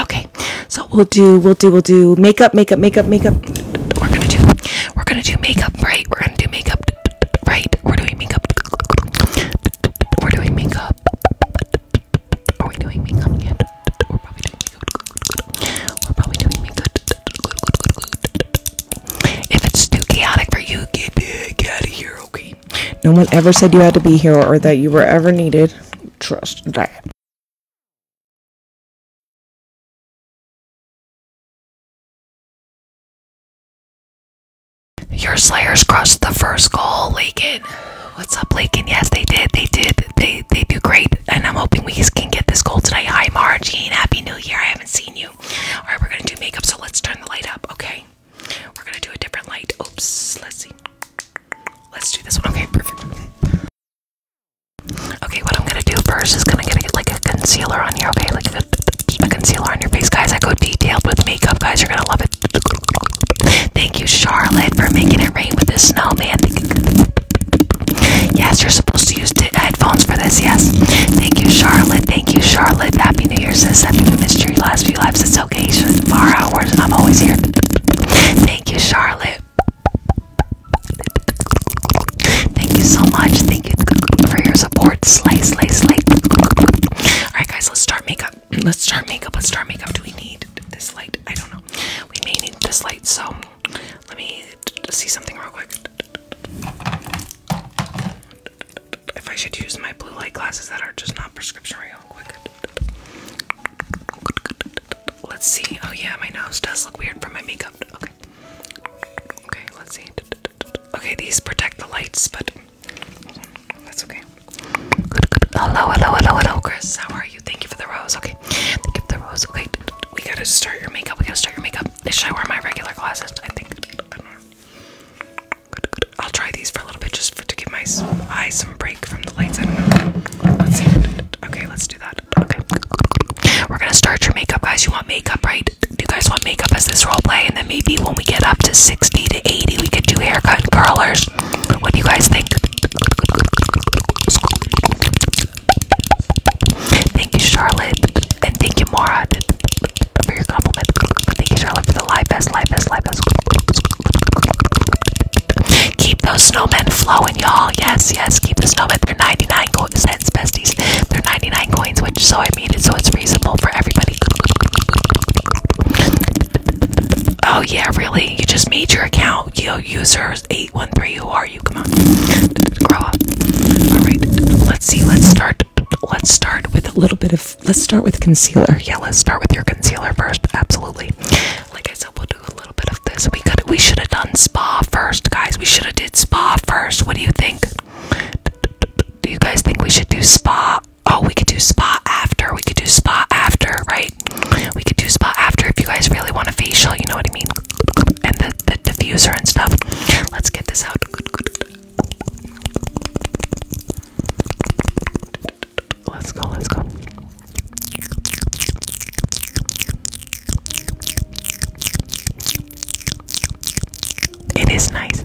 Okay. So we'll do we'll do we'll do makeup, makeup, makeup, makeup. We're gonna do we're gonna do makeup, right? We're gonna do makeup right. We're doing makeup. We're doing makeup. Are we doing makeup yet? We're probably doing makeup. We're probably doing makeup. If it's too chaotic for you, get, get out of here, okay? No one ever said you had to be here or that you were ever needed trust that. Your Slayers crossed the first goal, Lakin. What's up, Lakin? Yes, they did. They did. They they do great. And I'm hoping we can get this goal today. Hi, Margene. Happy New Year. I haven't seen you. All right, we're going to do makeup, so let's turn the light up, okay? We're going to do a different light. Oops. Let's see. Let's do this one. Okay, perfect. Okay, what I'm gonna do first is gonna get like a concealer on here. Okay, like a, concealer on your face, guys. I go detailed with makeup, guys. You're gonna love it. Thank you, Charlotte, for making it rain with the snowman. Yes, you're supposed to use headphones for this. Yes. Thank you, Charlotte. Thank you, Charlotte. Happy New Year, sis. Happy missed your Last few lives. It's it's hours, and I'm always here. Thank you, Charlotte. Thank you so much. Thank you for your support. Slay, slay, slay. Alright, guys, let's start makeup. Let's start makeup. Let's start makeup. Do we need this light? I don't know. We may need this light, so let me see something real quick. If I should use my blue light glasses that are just not prescription, real quick. Let's see. Oh yeah, my nose does look weird from my makeup. Okay. Okay, let's see. Okay, these protect the lights, but that's okay. Hello, hello, hello, hello, Chris. How are you? Thank you for the rose. Okay. Thank you for the rose. Okay. We gotta start your makeup. We gotta start your makeup. Should I wear my regular glasses? I think. I will try these for little bit just for, to give my eyes some break from the lights. I don't know. Let's see. Okay, let's do that. Okay. We're gonna start your makeup, guys. You want makeup, right? Do you guys want makeup as this role play? And then maybe when we get up to 60 to 80, we could do haircut and curlers. What do you guys think? Thank you, Charlotte. And thank you, Mara, for your compliment. Thank you, Charlotte, for the live best, live best, live best. Keep those snowmen flowing, y'all. Yes, yes, keep the snowmen. They're 99 cents, besties. They're 99 coins, which so I made it so it's reasonable for everybody. Oh yeah, really? You just made your account. Yo, users 813. Who are you? Come on. Alright. Let's see. Let's start let's start with a little bit of let's start with concealer. Yeah, let's start with your concealer first. Absolutely. Like I said, we'll do a little bit of this. We could we should have done spa first, guys. We should have did spa first. What do you think? Do you guys think we should do spa? Oh, we could do spa after. We could do spa after, right? We could do spa after if you guys really want a facial, you know what I mean? And the, the diffuser and stuff. Let's get this out. Let's go, let's go. It is nice.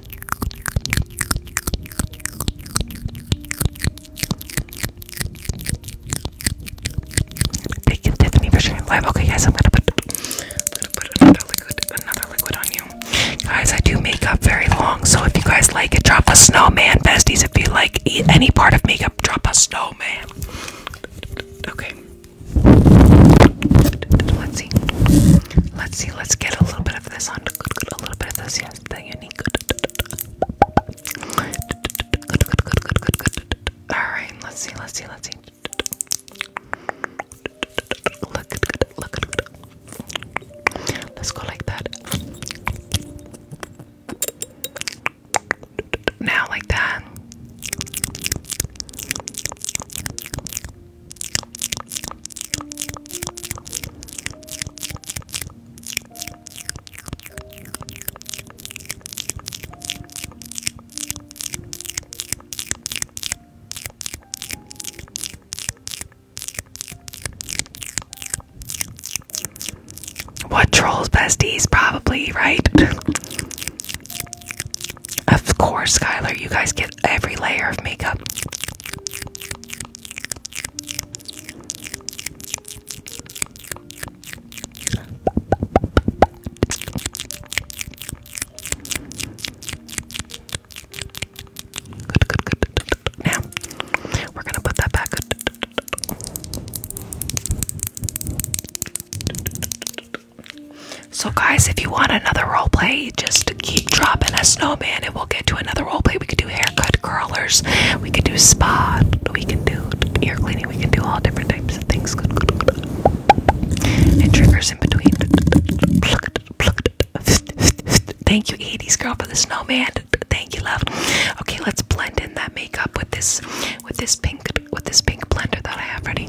Okay, guys, I'm gonna put, another liquid, on you, guys. I do makeup very long, so if you guys like it, drop a snowman, besties. If you like any part of makeup, drop a snowman. Okay. Let's see. Let's see. Let's get a little bit of this on. A little bit of this. Yeah. Alright, let's see, let's see, let's see. look, look. Let's go like that. Now, like that. What trolls besties? Probably, right? of course, Skylar, you guys get every layer of makeup. Now we're gonna put that back. So, guys, if you want another role play, just just keep dropping us no man and we'll get to another role play. We could do haircut curlers, we could do spa, we can do ear cleaning, we can do all different types of things. Good, good, good. And triggers in between. Thank you, 80s girl, for the snowman. Thank you, love. Okay, let's blend in that makeup with this with this pink with this pink blender that I have ready.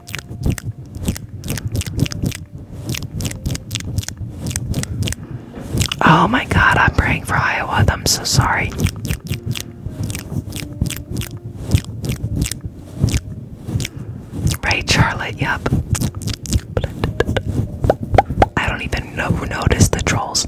Oh my god, I'm praying for Iowa. I'm so sorry. Right, Charlotte, yep. I don't even know who noticed the trolls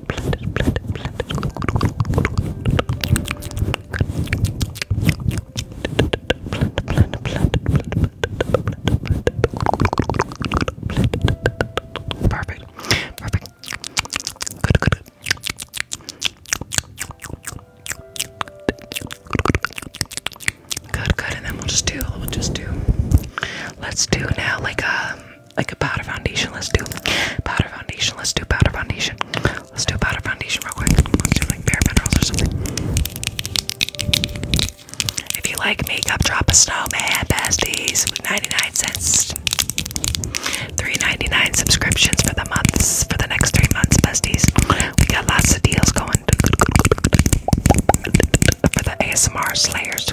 Perfect. Perfect. Good, good, good. Good, good, and then we'll just do, we'll just do, let's do now like a, um, like a powder foundation, let's do powder foundation, let's do powder foundation, Let's do a powder foundation real quick. do like bare minerals or something. If you like makeup, drop a snowman besties 99 cents. 3.99 subscriptions for the months for the next three months, besties. We got lots of deals going for the ASMR slayers.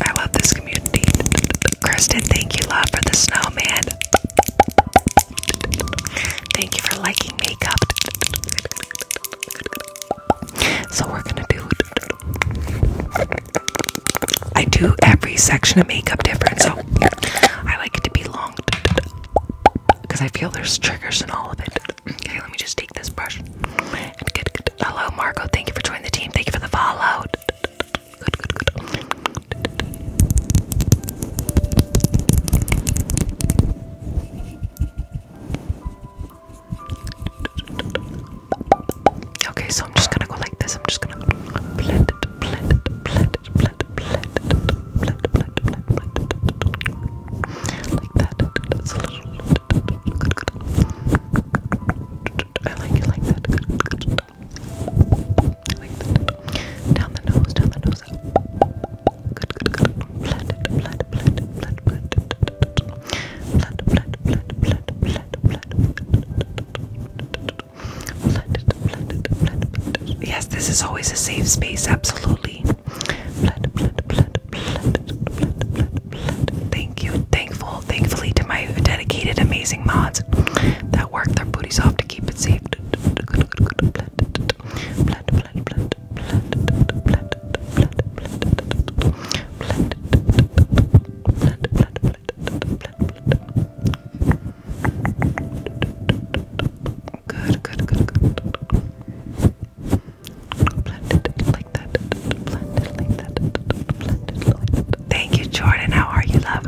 I love this community. Kristen, thank you, love, for the snowman. Thank you for liking makeup. So we're gonna do. I do every section of makeup different, so I like it to be long because I feel there's triggers in all of it. Okay, let me just take this brush and good, good. Hello, Marco. Thank you for joining the team. Thank you for the follow. Good, good, good. Okay, so I'm just gonna go like this. I'm just gonna blend it, blend it, blend it, blend it, blend it, blend it, blend it, blend it, blend it. Like that. That's a little good, good. I like it like that. Down the nose, down the nose. Yes, this is always a safe space, absolutely. Thank you. Thankful thankfully, to my dedicated, amazing mods that work their booties off to keep it safe. Good, good, good, good. Thank you, Jordan. How are you, love?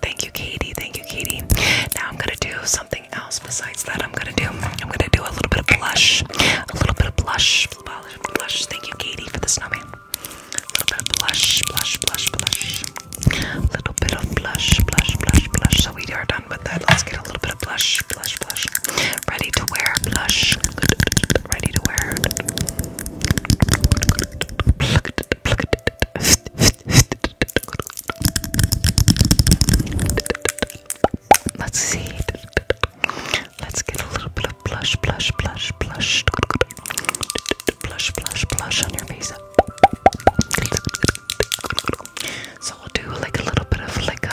Thank you, Katie. Thank you, Katie. Now I'm gonna do something besides that I'm gonna do. I'm gonna do a little bit of blush. A little bit of blush. Blush. Thank you, Katie, for the snowman. A little bit of blush, blush, blush, blush. A little bit of blush, blush, blush, blush. So we are done with that. Let's get a little bit of blush, blush, blush. Ready to wear blush. Ready to wear. Let's see. Let's get a little bit of blush, blush, blush, blush. Blush, blush, blush on your face. So we'll do like a little bit of like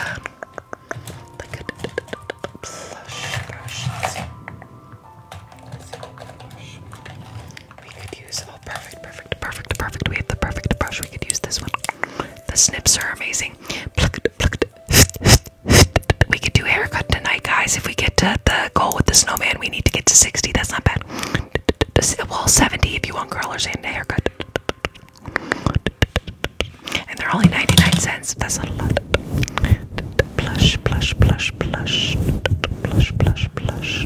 We could use Oh, perfect, perfect, perfect, perfect. We have the perfect brush. We could use this one. The snips are amazing. We could do haircut tonight, guys. If we get to the goal with the snowman, we need to get to 60. That's not bad. Well, 70 if you want curlers and a haircut. And they're only 99 cents. That's not a lot. Plush, plush, plush, plush. Plush, plush, plush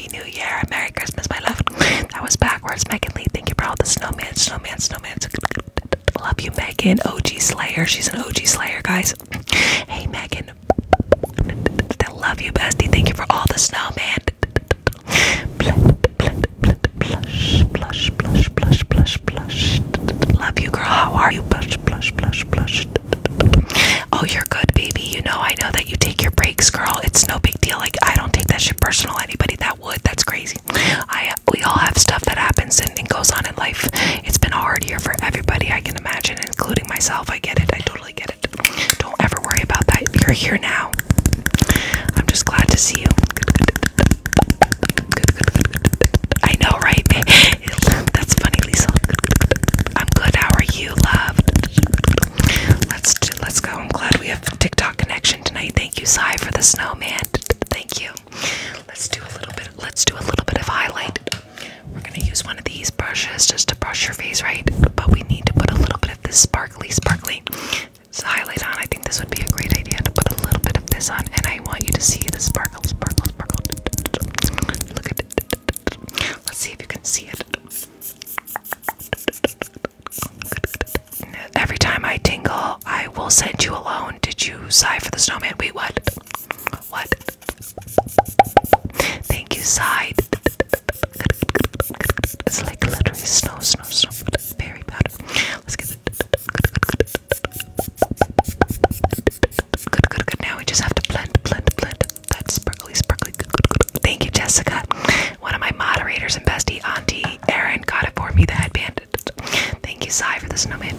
Happy New Year, Merry Christmas, my love. That was backwards. Megan Lee, thank you for all the snowman, snowman, snowman. Love you, Megan. OG Slayer. She's an OG Slayer, guys. Hey, Megan. I love you, bestie. Thank you for all the snowman. Blush, blush, blush, blush, blush, blush. Love you, girl. How are you? Blush, blush, blush, blush. Oh, you're good, baby. You know, I know that you take your breaks, girl. It's no big deal. Like, I don't take that shit personal. Anybody that would, that's crazy. I we all have stuff that happens and, and goes on in life. It's been a hard year for everybody, I can imagine, including myself. I get it. I totally get it. Don't ever worry about that. You're here now. I'm just glad to see you. I know, right? That's funny, Lisa. I'm good. How are you, love. Let's do, let's go. I'm glad we have TikTok connection tonight. Thank you, Sai, for the snowman. Thank you. Let's do a little bit. Let's do a little bit of highlight. We're gonna use one of these brushes just to brush your face, right? But we need to put a little bit of this sparkly, sparkly highlight on. I think this would be a great idea to put a little bit of this on, and I want you to see the sparkle, sparkle, sparkle. Look at it. Let's see if you can see it. Every time I tingle, I will send you alone. Did you sigh for the snowman? Wait, what? What? Thank you, sigh. It's like literally snow, snow, snow. Very bad. Let's get it. Good, good, good. Now we just have to blend, blend, blend that sparkly, sparkly. Thank you, Jessica. One of my moderators and bestie, Auntie Erin, got it for me, the headband. Thank you, Sai, for the snowman.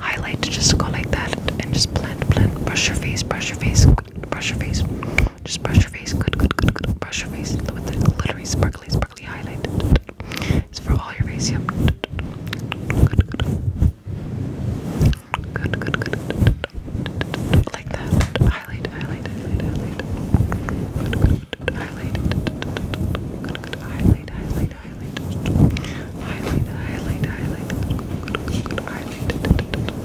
Highlight, just go like that and just blend, blend. Brush your face, brush your face, brush your face. Just brush your face. Good, good, good, good. Brush your face with the glittery, sparkly, sparkly highlight. It's for all your face, yep. Good, good. Like that. Highlight, highlight, highlight, highlight. highlight. highlight, highlight, highlight. Highlight, highlight,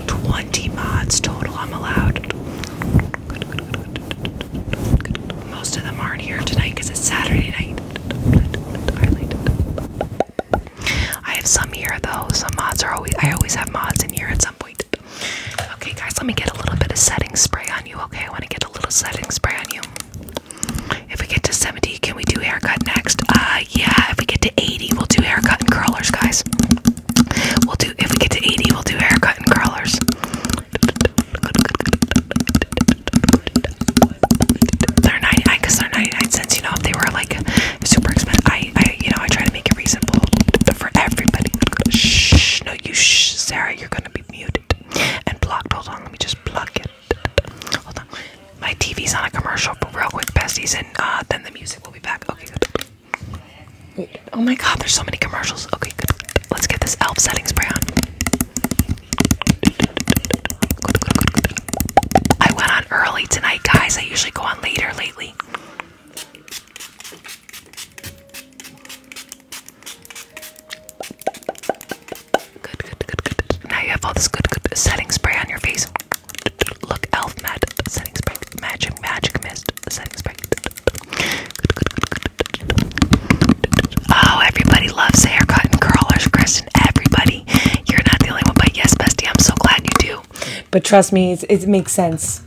highlight. 20 mods total, I'm allowed. Most of them aren't here tonight because it's Saturday night. I have some here though. Some mods are always I always have mods in here at some point. Okay guys, let me get a little bit of setting spray on you, okay? I want to get a little setting spray on you. If we get to 70, can we do haircut next? Uh yeah, if we get to 80, we'll do haircut and curlers, guys. We'll do if we get to 80, we'll do haircut and curlers. They're 99 they're 99 cents, you know, if they were like super expensive. I, I, you know, I try to make it reasonable for everybody. Shh, no, you shh, Sarah, you're gonna be muted and blocked. Hold on, let me just plug it. Hold on, my TV's on a commercial, but real quick, besties, and uh, then the music will be back. Okay, good. Oh my God, there's so many commercials. Okay, good. Let's get this elf setting spray on. I went on early tonight, guys. I usually go on later lately. Good, good, good, good. Now you have all this good, good setting spray on your face. Look, Elf Mad setting spray, magic, magic mist setting spray. Good, good, good, Oh, everybody loves haircut and curlers, Kristen. Everybody, you're not the only one, but yes, bestie, I'm so glad you do. But trust me, it makes sense.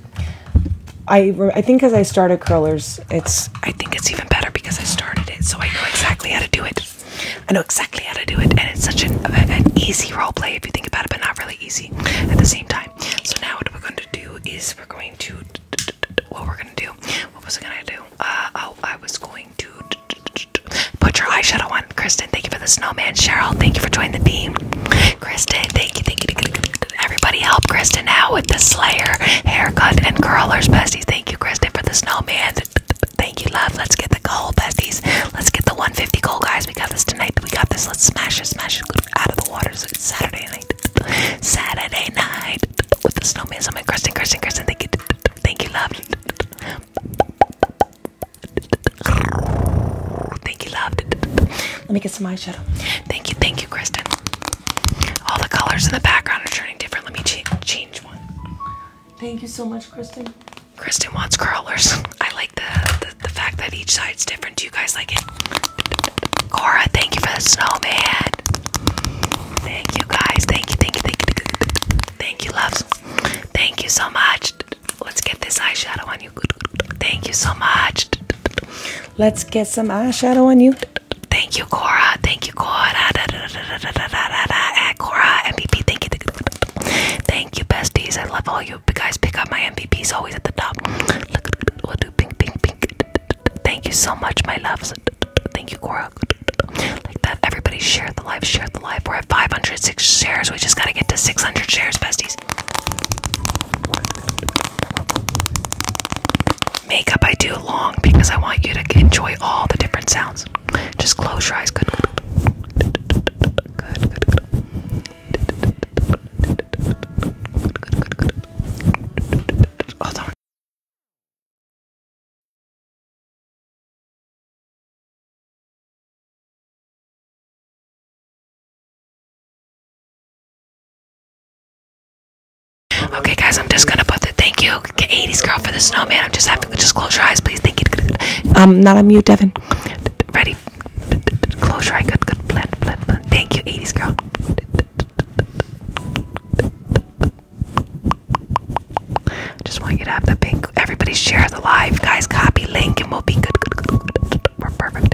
I, I think as I started curlers, it's I think it's even better because I started it, so I know exactly how to do it. I know exactly how to do it, and it's such an, an easy role play if you think about it, but not really easy at the same time. So now what we're going to do is we're going to what we're going to do. What was I going to do? Uh, oh, I was going to put your eyeshadow on everyone. Kristen, thank you for the snowman. Cheryl, thank you for joining the team. Kristen, thank you, thank you. Everybody help Kristen out with the Slayer haircut and curlers, besties. Thank you, Kristen, for the snowman. Thank you, love. Let's get the goal, besties. Let's get the 150 goal, guys. We got this tonight. We got this. Let's smash it, smash it out of the water. So it's Saturday night. Saturday night with the snowman. So my Kristen, Kristen, Kristen. Thank you, thank you, love. Thank you, love. Let me get some eyeshadow. Thank you, thank you, Kristen. All the colors in the background are turning different. Let me change one. Thank you so much, Kristen. Kristen wants curlers. I like the, the fact that each side is different. Do you guys like it? Cora, thank you for the snowman. Thank you guys. Thank you, thank you, thank you, thank you, thank Thank you so much. Let's get this eyeshadow on you. Thank you so much. Let's get some eyeshadow on you. Thank you, Cora. Thank you, Cora. Cora, MVP. Thank you. Thank you, besties. I love all you guys. Pick up my MVPs always at the top. we'll do pink, pink, pink. Thank you so much, my love. Thank you, Cora. Like that, everybody share the life. share the life. We're at 506 shares. We just gotta get to 600 shares, besties. Makeup I do long because I want you to enjoy all the different sounds. Just close your eyes. Good, good, good, good, good. Good, good, good, good. Hold Okay, guys, I'm just gonna put the thank you, 80s girl, for the snowman. I'm just having just close your eyes, please. Thank you. I'm um, not on mute, Devin. Ready? Close your eye. Good, good. Blend, blend, blend. Thank you, 80s girl. Just want you to have the pink. Everybody share the live, guys. Copy link, and we'll be good. good. We're perfect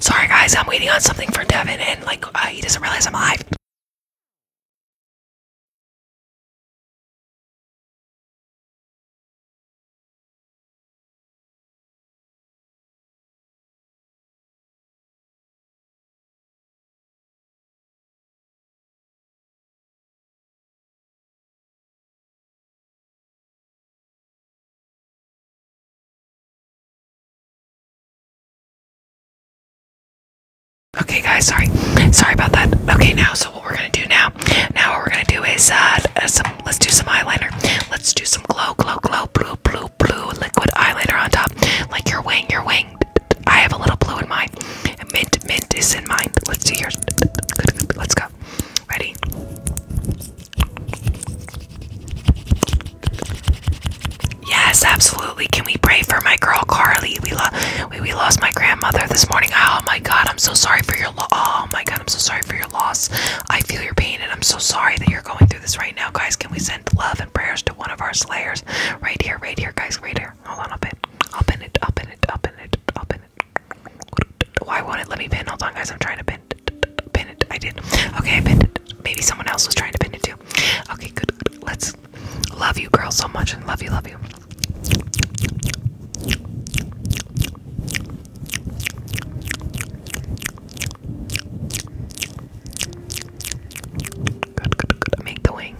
Sorry guys, I'm waiting on something for Devin and like uh, he doesn't realize I'm live. Okay, guys, sorry. Sorry about that. Okay, now, so what we're gonna do now, now what we're gonna do is, uh, Let's do some eyeliner. Let's do some glow, glow, glow, blue, blue, blue liquid eyeliner on top. Like your wing, your wing. I have a little blue in mine. Mint, mint is in mine. Let's do yours. Let's go. Ready? Yes, absolutely. Can we pray for my girl Carly? We, lo we lost my grandmother this morning. Oh my God, I'm so sorry for your loss. Oh my God, I'm so sorry for your loss. I feel your pain, and I'm so sorry that you're going through through this right now, guys. Can we send love and prayers to one of our slayers? Right here, right here, guys, right here. Hold on, I'll pin. I'll pin it, I'll pin it, I'll pin it, I'll pin it. Why oh, won't it let me pin? Hold on, guys, I'm trying to pin it. Pin it. I did. Okay, I pinned it. Maybe someone else was trying to pin it too. Okay, good. good. Let's love you, girls, so much and love you, love you. Good, good, good. Make the wing.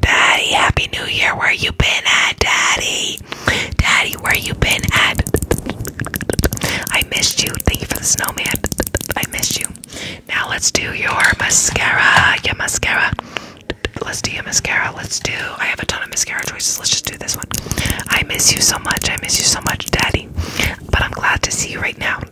Daddy, Happy New Year. Where you been at, Daddy? Daddy, where you been at? I missed you. Thank you for the snowman. I missed you. Now let's do your mascara. Your mascara. Let's do your mascara. Let's do. I have a ton of mascara choices. Let's just do this one. I miss you so much. I miss you so much, Daddy. But I'm glad to see you right now.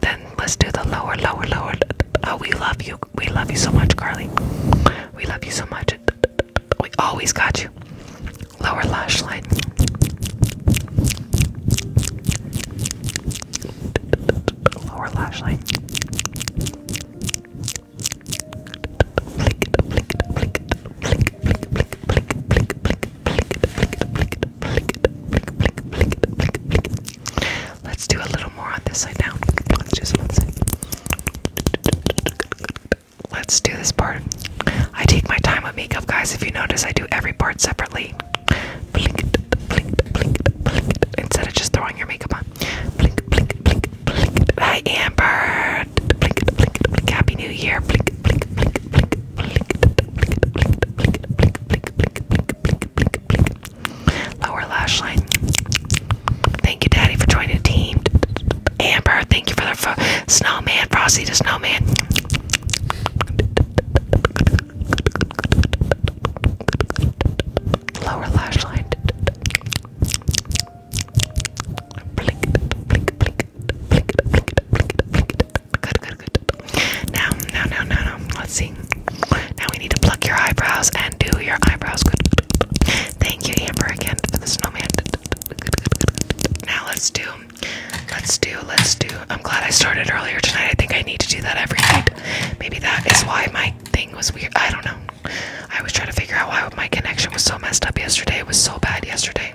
then, let's do the lower, lower, lower. Oh, we love you. We love you so much, Carly. We love you so much. We always got you. Lower lash line. Lower lash line. Let's do a little more on this side now. Let's Let's do this part. I take my time with makeup, guys. If you notice, I do every part separately. Instead of just throwing your makeup on. Hi, Amber. Happy New Year. Lower lash line. Thank you, Daddy, for joining the team. Amber, thank you for the fo snowman, Frosty the snowman. Lower lash line. Blink, blink, blink, blink, blink, blink, blink, blink, good, good, good. Now, now, now, now, now. Let's see. Now we need to pluck your eyebrows and do your eyebrows. Good. Thank you, Amber, again for the snowman. Now let's do, let's do, let's do. I'm glad I started earlier tonight. I think I need to do that every night. Maybe that is why my thing was weird. I don't know. I was trying to figure out why my connection was so messed up yesterday. It was so bad yesterday.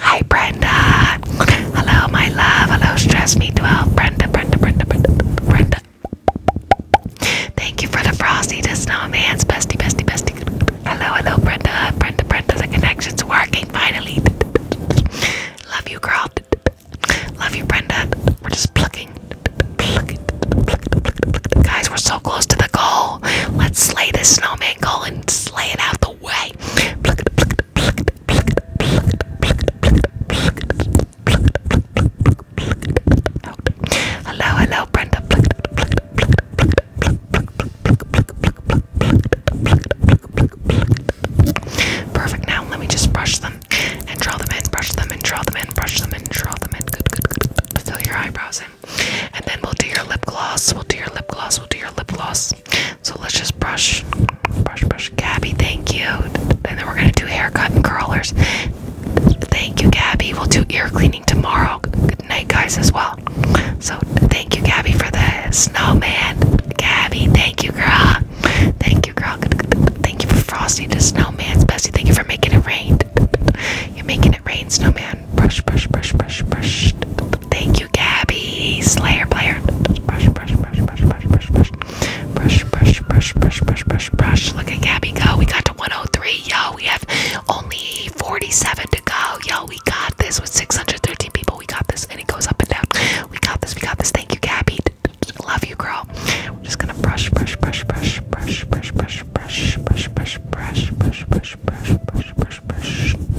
Hi, Brenda. Hello, my love. Hello, Stress Me 12. Brenda, Brenda, Brenda, Brenda, Brenda. Thank you for the frosty, the snowman's bestie, bestie, bestie. Hello, hello, Brenda. Brenda, Brenda, the connection's working finally. Love you, girl. Love you, Brenda. We're just plucking. Plucking. Guys, we're so close to the goal. Let's slay this snowman and slay it out the way. Hello, hello, Brenda. Perfect. Now let me just brush them and draw them in, brush them and draw them in, brush them and draw them in. Fill your eyebrows and then we'll do your lip gloss. We'll do your lip gloss. We'll do your lip gloss. So let's just brush, brush, brush. Gabby, thank you. And then we're going to do haircut and curlers. Thank you, Gabby. We'll do ear cleaning tomorrow. Good night, guys, as well. So thank you, Gabby, for the snowman. Gabby, thank you, girl. Thank you, girl. Thank you for Frosty the Snowman. Bessie, thank you for making it rain. You're making it rain, Snowman. Brush, brush, brush, brush, brush. Thank you, Gabby. Slayer player. Brush, brush, brush, brush, brush, brush, brush. Brush, brush, brush, brush, brush, brush, brush. Look at Gabby go. We got to 103. Yo, we have only 47 to go. Yo, we got this with 613 people. We got this. And it goes up and down. We got this. We got this. Thank you, Gabby. Love you, girl. We're just gonna brush, brush, brush, brush, brush, brush, brush, brush, brush, brush, brush, brush, brush, brush, brush, brush.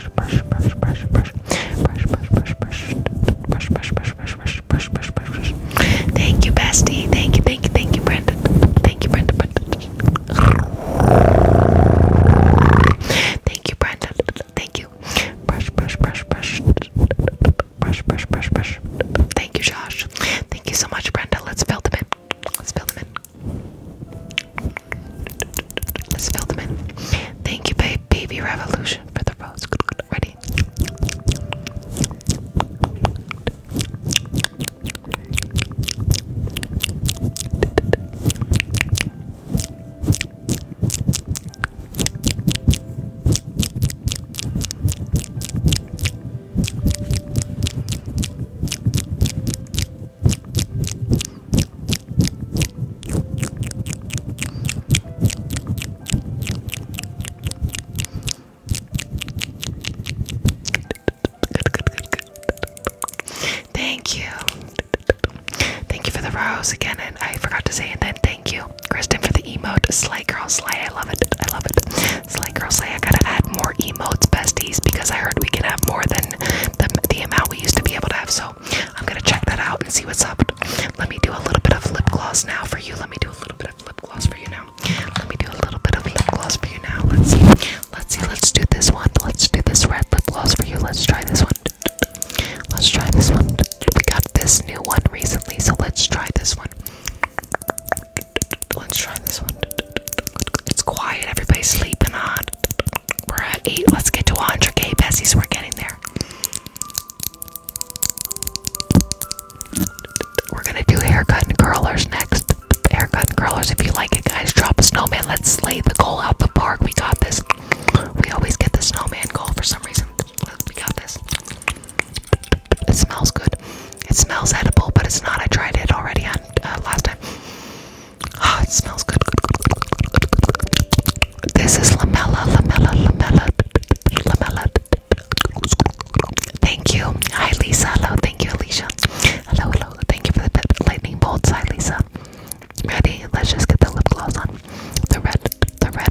brush, brush, brush, brush, brush, brush, brush, brush, brush, brush, brush, brush, brush, brush, brush, brush. Thank you, bestie. Thank you, thank you, thank you, Brandon. Thank you, Brandon. Thank you, Brandon. Thank you. Brush, brush, brush, brush. Brush, brush, brush, brush. Thank you, Josh. Thank you so much, Brenda. Let's fill them in. Let's fill them in. Let's fill them in. Thank you, babe, baby revolution for the rose. Ready? Thank you. Thank you for the rose again, and I forgot to say, and then thank you, Kristen, for the emote. Slay girl, slay. I love it. I love it. Slay girl, slay. I gotta add more emotes, besties, because I heard we can have more than the, the amount we used to be able to have. So I'm gonna check that out and see what's up. Let me do a little bit of lip gloss now for you. Let me do a little bit of lip gloss for you now. Let me do a little bit of lip gloss for you now. Let's see. Let's see. Let's do this one. Let's do this red lip gloss for you. Let's try this one. Let's try this one. We got this new one recently, so let's try this one. Let's try this one. It's quiet, everybody's sleeping on. We're at 8. Let's get to 100k, Bessies. We're getting there. We're gonna do haircut and curlers next. Haircut and curlers, if you like it, guys. Drop a snowman. Let's slay the goal out the park. We got this. We always get the snowman goal for some reason. We got this. It smells good. It smells edible, but it's not. I tried it already on uh, last time. Ah, oh, it smells good. This is Lamella, Lamella, Lamella, Lamella. Thank you. Hi, Lisa. Hello. Thank you, Alicia. Hello, hello. Thank you for the lightning bolts. Hi, Lisa. Ready? Let's just get the lip gloss on. The red, the red.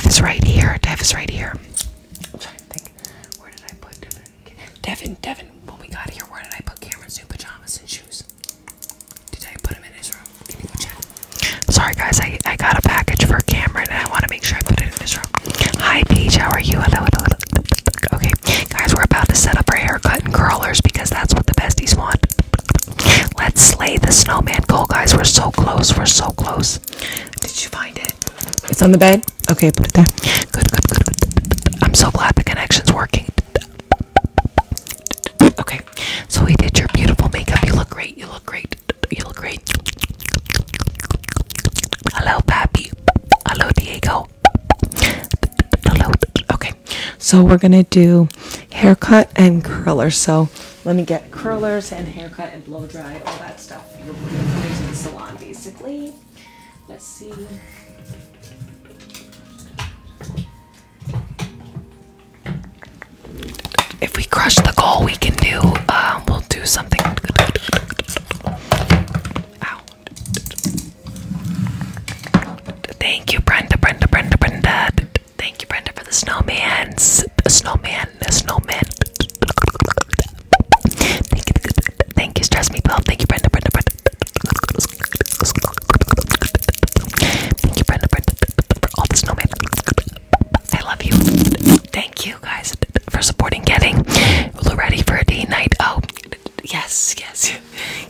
Dev is right here. Dev is right here. Where did I put Devin? Devin, Devin, when we got here, where did I put Cameron's new pajamas and shoes? Did I put him in his room? Sorry guys, I, I got a package for Cameron and I want to make sure I put it in this room. Hi Peach, how are you? Hello, Okay, guys, we're about to set up our haircut and curlers because that's what the besties want. Let's slay the snowman goal, guys. We're so close, we're so close. Did you find it? It's on the bed? Okay, put it there. good, good. good. I'm so glad the connection's working. Okay, so we did your beautiful makeup. You look great, you look great. You look great. Hello, Pappy. Hello, Diego. Hello. Okay, so we're gonna do haircut and curler. So let me get curlers and haircut and blow dry, all that stuff. We're going to the salon, basically. Let's see if we crush the goal, we can do. Uh, we'll do something. Ow. Thank you, Brenda, Brenda, Brenda, Brenda. Thank you, Brenda, for the snowman. The snowman, the snowman. Thank you, thank you, stress me well. Thank you, Brenda, Brenda, Brenda. Thank you, Brenda, Brenda, for all the snowman. I love you. Thank you guys for supporting getting ready for a day night. Oh, yes, yes,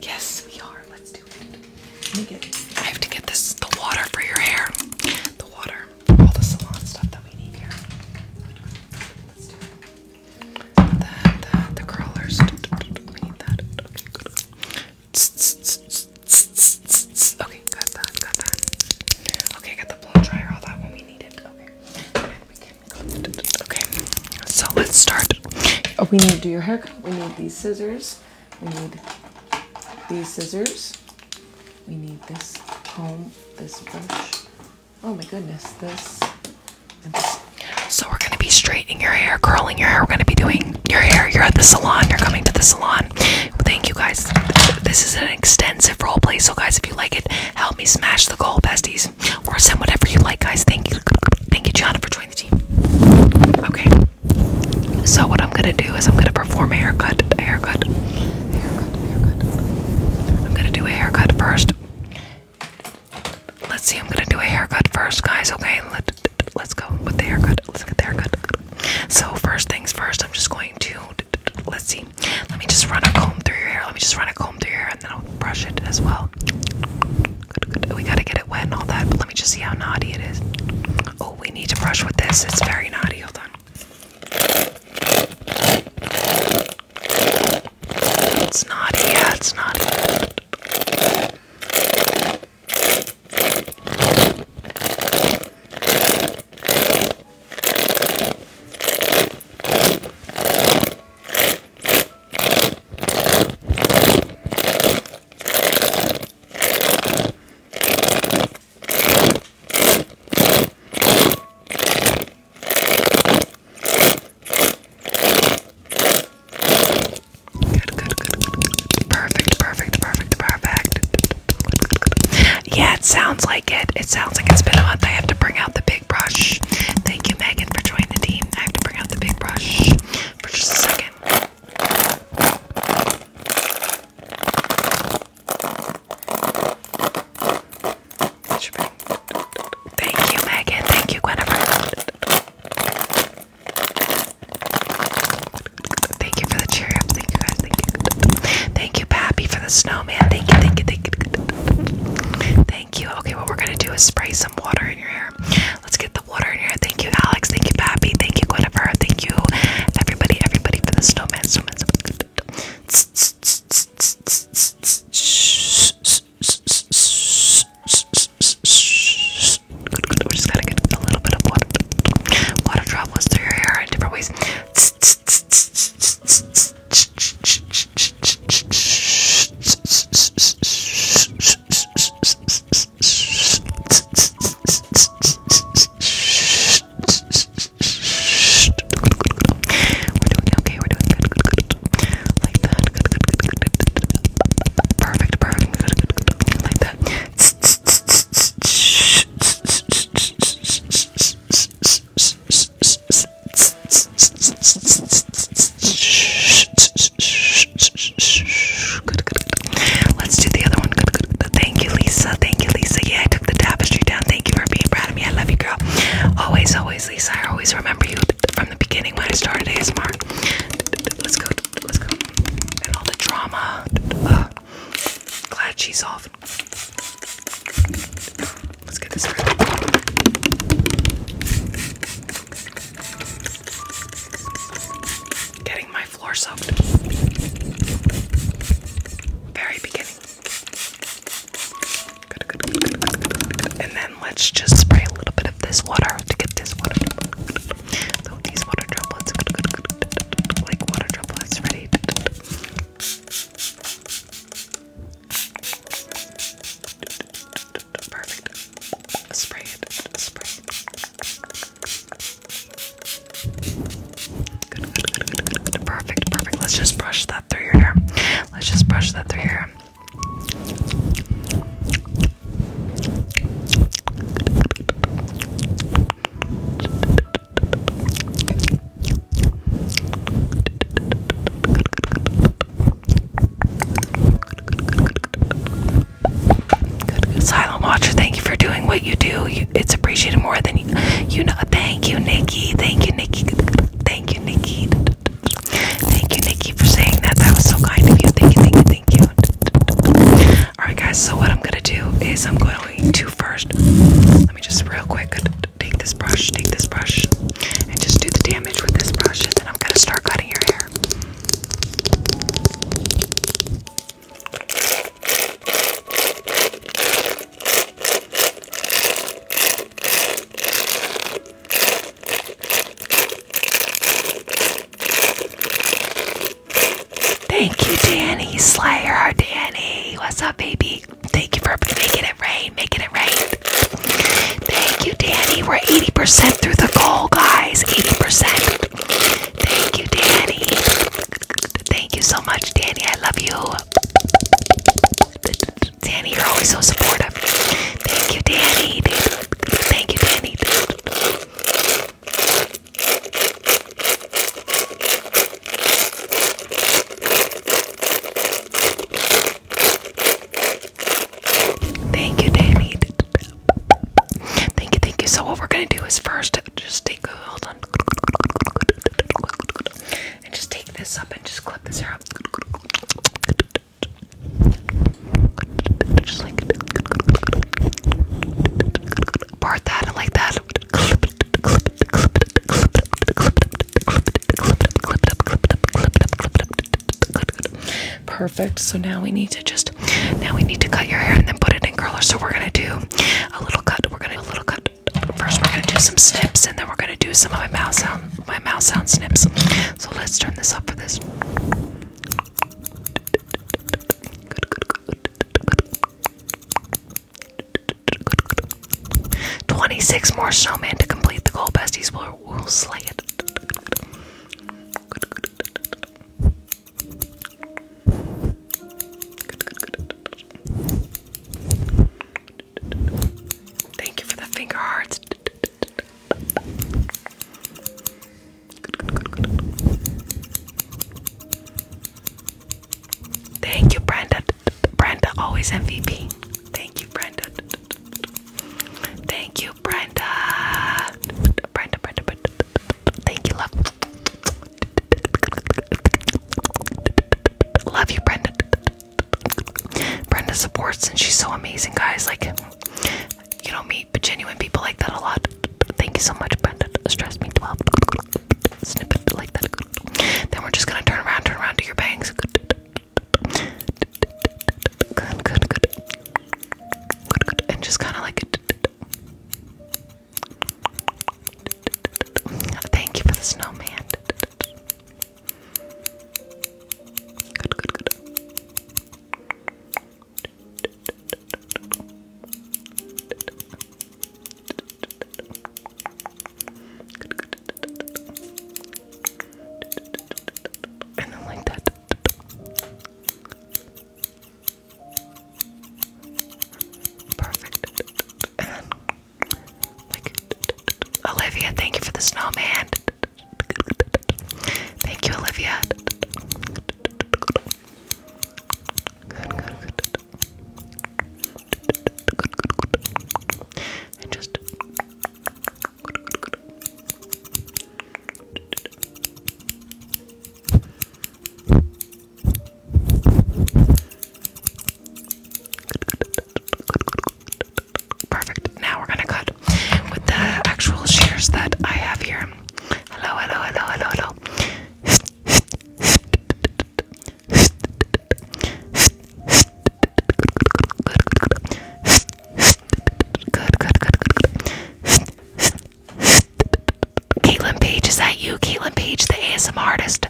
yes, we are. Let's do it. Let me get, I have to get this the water for your hair. The water, all the salon stuff that we need here. The, the, the curlers. We need that. Okay, got that, got that. Okay, got the blow dryer, all that when we need it. Okay. so let's start. Oh, we need to do your haircut. We need these scissors. We need these scissors. We need this comb, this brush. Oh my goodness, this. So we're gonna be straightening your hair, curling your hair. We're gonna be doing your hair. You're at the salon. You're coming to the salon. Thank you guys. This is an extensive role play, so guys, if you like it, help me smash the goal, besties, or send whatever you like, guys. Thank you, thank you, Gianna, for joining the team. Okay. So what I'm gonna do is I'm gonna perform a haircut, haircut, haircut, haircut. I'm gonna do a haircut first. Let's see. I'm gonna do a haircut first, guys. Okay. Let, let's go with the haircut. Let's get the haircut. So first things first. I'm just going to let's see. Let me just run a comb through your hair. Let me just run a comb through your hair and then I'll brush it as well. Good, good. We gotta get it wet and all that, but let me just see how naughty it is. Oh, we need to brush with this. It's very naughty. Hold on. It's naughty. it's naughty. Good, good, good, good, good. Perfect, perfect, perfect, perfect. Yeah, it sounds like it. It sounds like it's been a month. I have to bring out the big brush. Thank you, Megan, for joining the team. I have to bring out the big brush for just a second. Thank you, Megan. Thank you, Guinevere. Thank you for the cheer thank you. Pappy, for the snowman. Thank you, thank you, thank you. Thank you. Okay, what we're gonna do is spray some water in your hair. Let's get the water in your hair. Thank you, Alex. Thank you, Pappy. Thank you, Guinevere. Thank you, everybody, everybody for the snowman. Snowman. Good, just gotta get a little bit of water. Water travels through your hair in different ways doing okay, we're doing good, good, good. Like that. Good, good, good, good, good, good. Perfect, perfect, good, good, good, good. Like that. Let's do the other one. Thank you, Lisa. Thank you, Lisa. Yeah, I took the tapestry down. Thank you for being proud of me. I love you, girl. Always, always, Lisa. I always remember you from the beginning when I started ASMR. Let's go. Let's go. And all the drama. glad she's off Let's get this started. Getting my floor soaked. Very beginning. And then let's just spray a little bit of this water to get this water. So these water droplets, like water droplets, ready. Perfect. Spray it. Spray it. Perfect, perfect. Let's just brush that through your hair. Let's just brush that through your hair. Silent Watcher, thank you for doing what you do. it's appreciated more than you, you know. Thank you, Nikki. Thank you, Nikki. Thank you, Nikki. Thank you, Nikki, for saying that. That was so kind of you. Thank you, thank you, thank you. Alright, guys, so what I'm gonna do is I'm going to first let me just real quick take this brush, take this brush, and just do the damage with this brush, and then I'm gonna start cutting your hair. Thank you, Danny Slayer. Danny, what's up, baby? Thank you for making it rain, making it rain. Thank you, Danny. We're 80% through the goal, guys. 80%. Thank you, Danny. Thank you so much, Danny. I love you. Danny, you're always so supportive. Thank you, Danny. Thank you, Danny. Thank you, Danny. Thank you, thank you. So what we're gonna do is first just take hold on and just take this up and just clip this hair up. Just like part that and like that. Perfect. So now we need to just now we need to cut your hair and then put it in curlers. So we're gonna do a little cut. We're gonna do a little cut. First we're gonna do some snips and then we're gonna do some of my mouth sound my mouth sound snips. So let's turn this up for this. 26 more snowmen to complete the goal. Besties we will slay it. Thank you for the finger hearts. Thank you, Brenda. Brenda, always MVP. Thank you, Brenda. Thank you, Brenda. Brenda, Brenda, Brenda. Thank you, love. Love you, Brenda. Brenda supports and she's so amazing, guys. Like, you don't meet but genuine people like that a lot. Thank you so much, Brenda. Stress me 12. Snippet like that. Then we're just gonna turn around, turn around to your bangs. Good, good, good. And just kind of like. Thank you for the snowman. And then Olivia, thank you for the snowman. Thank you, Olivia. Perfect. Now we're gonna cut with the actual shears that I have here. Hello, hello, hello, hello, hello. Good, Page, is that you? Caitlin Page, the ASM artist.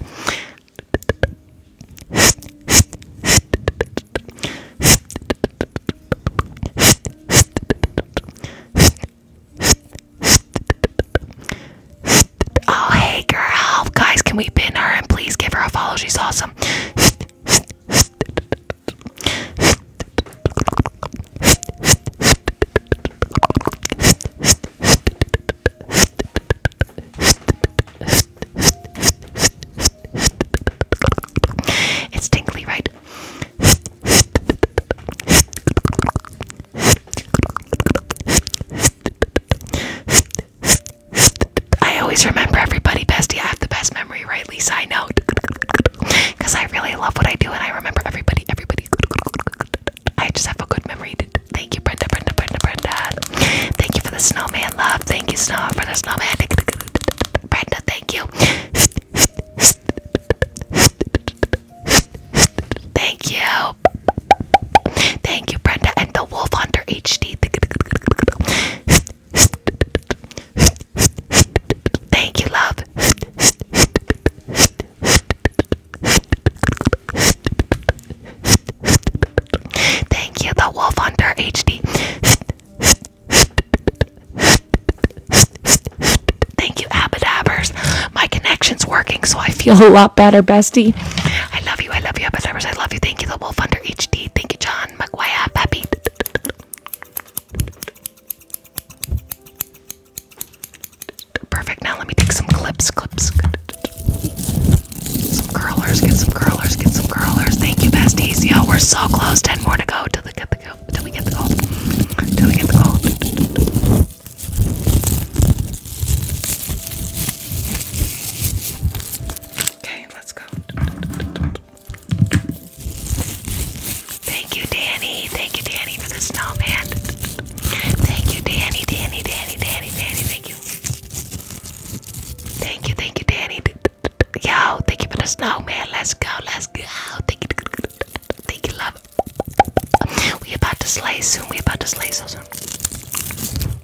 Oh, hey girl. Guys, can we pin her and please give her a follow? She's awesome. It's tingly, right? I always remember everybody bestie. I have the best memory, right, Lisa? I know. Because I really love what I do and I remember everybody, everybody. I just have a good memory. Thank you, Brenda, Brenda, Brenda, Brenda. Thank you for the snowman love. Thank you, Snow, for the snowman. Brenda, thank you. Thank you. Thank you, Brenda, and the Wolf Hunter HD. Thank you, love. Thank you, the Wolf Hunter HD. Thank you, Abadabbers. My connection's working, so I feel a lot better, bestie. I love you. I love you. Episode I love you. Thank you, The Wolf Under HD. Thank you, John McGuire. Pappy. Perfect. Now let me take some clips. Clips. Some curlers. Get some curlers. Get some curlers. Thank you, Bastasio. We're so close. Ten more to go till we get the goal. Till we get the goal. Till we get the goal. Okay, let's go. Thank you, Danny. Thank you, Danny, for the snowman. Thank you, Danny, Danny, Danny, Danny, Danny. Thank you. Thank you, thank you, Danny. Yo, thank you for the snowman. Let's go, let's go. Thank you, love. We about to slay soon. We about to slay so soon.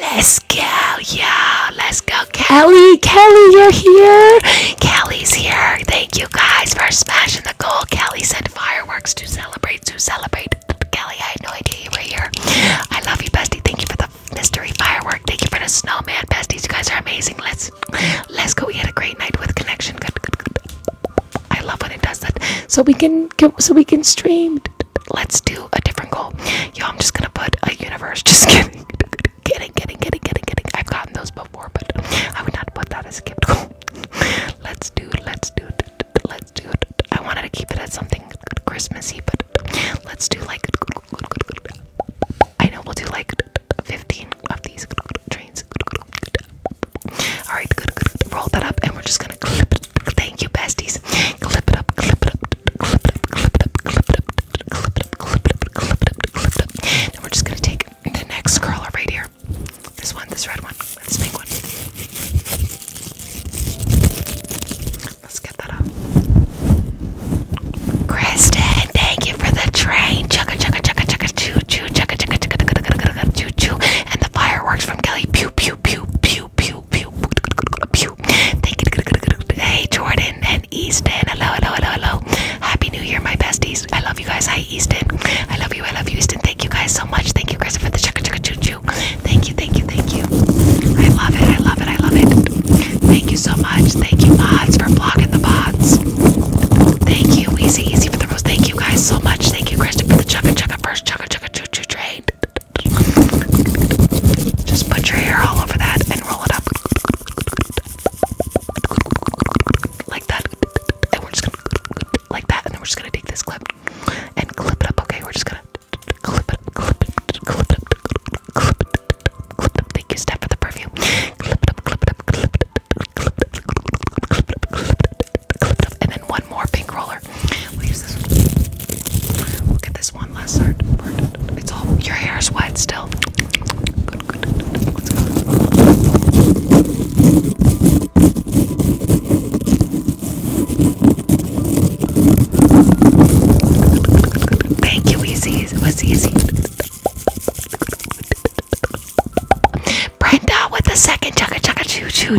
Let's go, yeah. Let's go, Kelly. Kelly, you're here. Kelly's here. Thank you guys for smashing the goal. Kelly sent fireworks to celebrate, to celebrate. Kelly, I had no idea you were here. I love you, bestie. Thank you for the mystery firework. Thank you for the snowman, besties. You guys are amazing. Let's let's go. We had a great night with connection. Good, good, good. I love when it does that. So we can stream so we can stream. Let's do a different goal. Yo, I'm just gonna put a universe. Just kidding. Kidding, kidding, kidding, kidding, kidding. I've gotten those before, but I would not put that as a gift goal. Let's do, let's do, let's do. I wanted to keep it as something Christmassy, but let's do like. I know we'll do like 15 of these trains. Alright, Roll that up, and we're just gonna clip it. Thank you, basties. Clip it up, clip it up, clip it up, clip it up, clip it up, clip it up, clip it up, clip it up, Then we're just gonna take the next curler right here. This one, this red one, this pink one. Let's get that up. Kristen, thank you for the train. Chugga chugga chugga chugga choo choo chugga chugga chugga chugga chugga choo choo. And the fireworks from Kelly. Pew pew pew pew pew, pew, pew. Thank you. Hey, Jordan and Easton. Hello, hello, hello, hello. Happy New Year, my besties. I love you guys. Hi, Easton. I love you. I love you, Easton. Thank you guys so much. Thank you, Chris, for the chicka chicka choo choo. Thank you, thank you, thank you. I love it. I love it. I love it. Thank you so much. Thank you, mods, for blocking the bots. Thank you, Easy Easy for the rose. Thank you guys so much. Thank you, Kristen, for the chugga chugga first chugga chugga choo choo train. Just put your hair all over that and roll it up. Like that. And we're just gonna like that. And we're just gonna take this clip and clip it up, okay? We're just gonna Clip it up, clip it up, clip it up, clip it up, clip it up, clip it up, clip it up. And then one more pink roller. We'll get this one last It's all your hair is wet still. Thank you, Easy. It was easy. Brenda with the second chugga chugga choo choo.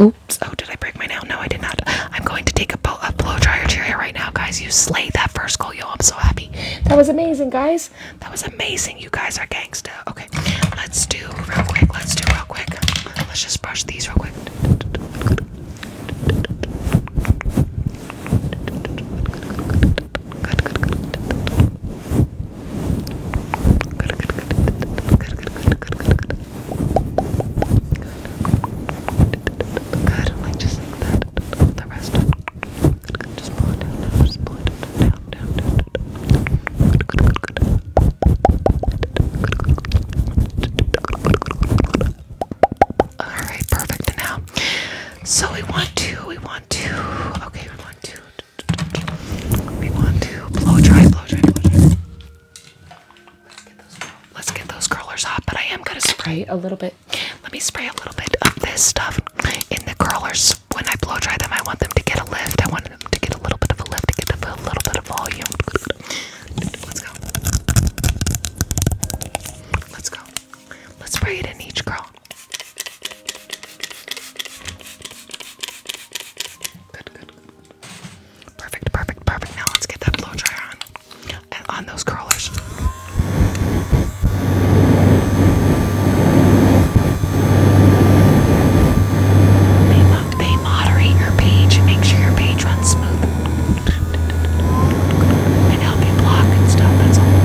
Oops. Oh, did I break my nail? No, I did not. I'm going to take a, blow, dryer to your right now, guys. You slayed that first goal, yo. I'm so happy. That was amazing, guys. That was amazing. You guys are gangsta. Okay, let's do real quick. Let's do real quick. Let's just brush these real quick. Alright, perfect now. So we want to, we want to, okay, we want to, we want to blow dry, blow dry, blow dry. Let's get those, curlers hot, but I am gonna spray a little bit. Let me spray a little bit of this stuff in the curlers. When I blow dry them, I want them to get a lift. I want them to get a little bit of a lift, to get them a little bit of volume. Let's go. Let's go. Let's spray it in each curl. good, good. Perfect, perfect, perfect. Now let's get that blow dry on. And on those curlers. They, mo they moderate your page and make sure your page runs smooth. And help you block and stuff, that's all.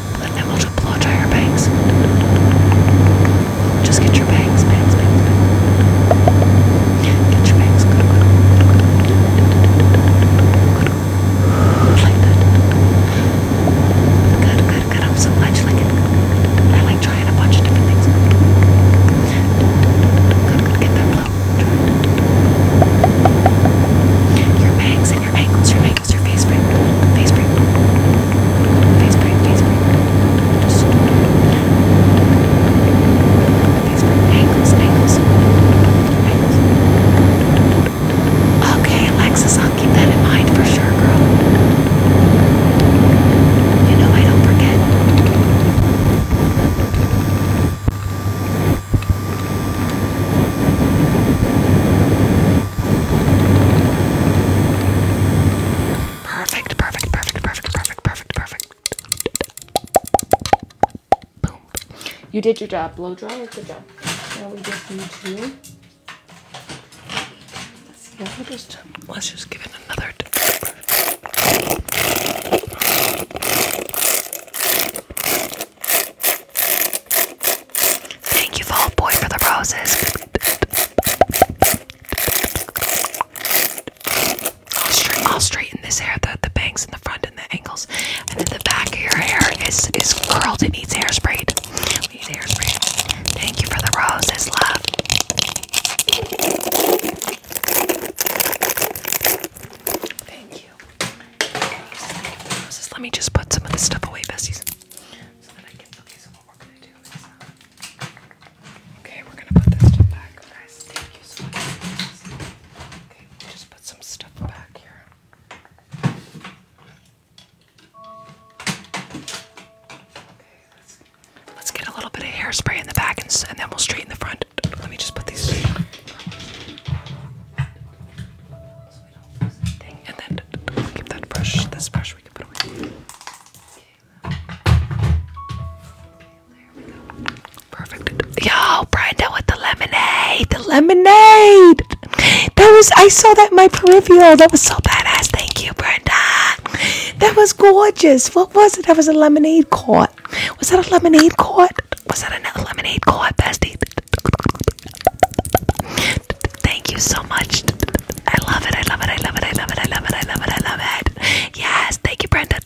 to and then just blow dry your bangs. Just get your bangs, bangs, bangs, Get your bangs. Like that. Good, good, good. I'm so glad like it. I like trying a bunch of different things. Good, good. Get that blow. Your bangs and your ankles, your break? Is your face break? Face break? Face break? Face break? face break. Ankles, ankles, Okay, Alexis, I'll keep that in mind for sure, girl. You know I don't forget. Perfect, perfect, perfect, perfect, perfect, perfect, perfect. Boom. You did your job. Blow dry or good job. Now we just need to. Let's just, let's just give it another. Thank you, Fall Boy, for the roses. I'll straighten, this hair, the, the bangs in the front and the angles. And then the back of your hair is, is curled. It needs hairspray. We hairspray. Thank you for the roses, love. Thank you. roses. Let me just put some of this stuff away, besties. Um, okay, we're gonna put this stuff back, guys. just put some stuff back here. let's. get a little bit of hairspray in the back, and, then we'll straighten the front. Let me just put these that brush. we can put away. Okay, there we go. Perfect. Yo, Brenda with the lemonade. The lemonade. That was. I saw that in my peripheral. That was so badass. Thank you, Brenda. That was gorgeous. What was it? That was a lemonade court. Was that a lemonade court? Was that another lemonade court, bestie? Thank you so much. I love it. I love it. I love it. I love it. I love it. I love it. I love it. Yes. Thank you, Brenda.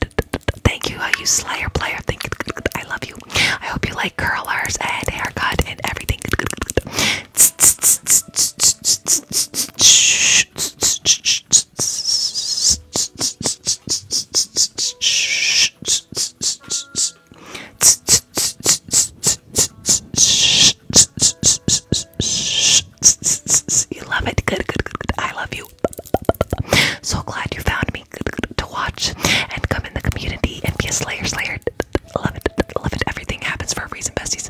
Thank you, uh, you Slayer player. Thank you. I love you. I hope you like curlers and haircut and everything. You love it. Good, good, good, good. I love you. So glad you found me to watch and come in the community and be a slayer slayer. Love it. Love it. Everything happens for a reason, besties.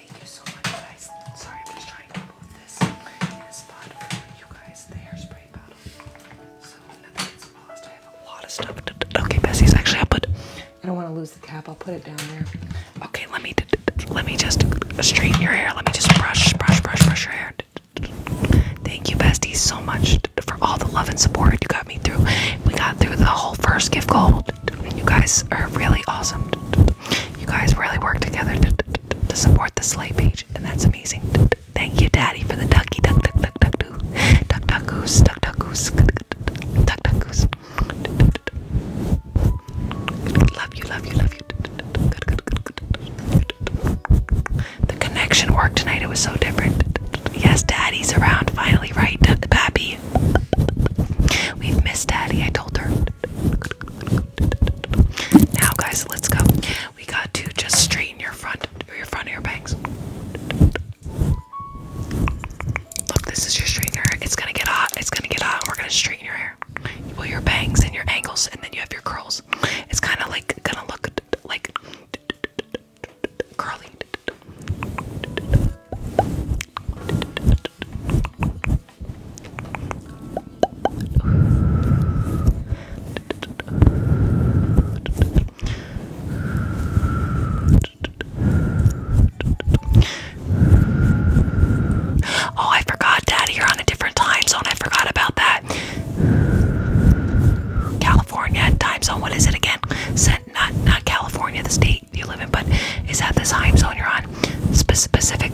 Thank you so much, guys. Sorry, I'm just trying to move this in a spot for you guys, the hairspray bottle. So nothing gets lost. I have a lot of stuff. Okay, Bessie's actually, i put. I don't want to lose the cap. I'll put it down there. Okay, let me let me just straighten your hair. Let me just brush, brush, brush, brush your hair. Thank you, besties, so much for all the love and support you got me through. We got through the whole first gift goal. You guys are really awesome. You guys really work together to, to, to support the sleigh page, and that's amazing. Thank you, Daddy, for the ducky duck duck duck duck doo. duck duck goose duck duck goose duck duck goose. Love you, love you, love you. The connection worked tonight. It was so different. Yes, Daddy's around finally, right, Pappy? We've missed Daddy. I told her. Now, guys, let's go. We got to just straighten your front, your front of your bangs. Look, this is your straightener. It's gonna get hot. It's gonna get hot. We're gonna straighten your hair. Well, your bangs and your angles, and then you have your curls. It's kind of like gonna look like curly. Oh, I forgot, Daddy, you're on a different time zone. I forgot about that. California time zone. What is it again? Not not California, the state you live in, but is that the time zone you're on? Specific.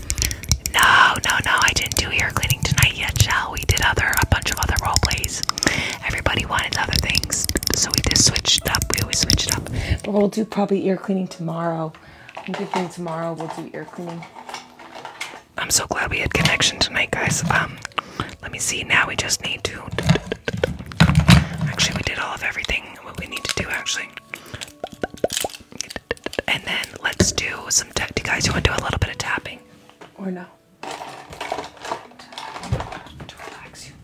No, no, no, I didn't do ear cleaning tonight yet, shall we? Did other a bunch of other role plays. Everybody wanted other things, so we just switched up. We always switched up. But we'll do probably ear cleaning tomorrow. I'm thinking tomorrow we'll do ear cleaning. I'm so glad we had connection tonight, guys. Um, let me see. Now we just need to. Actually, we did all of everything. What we need to do, actually and then let's do some. Do you guys want to do a little bit of tapping, or no? To relax you.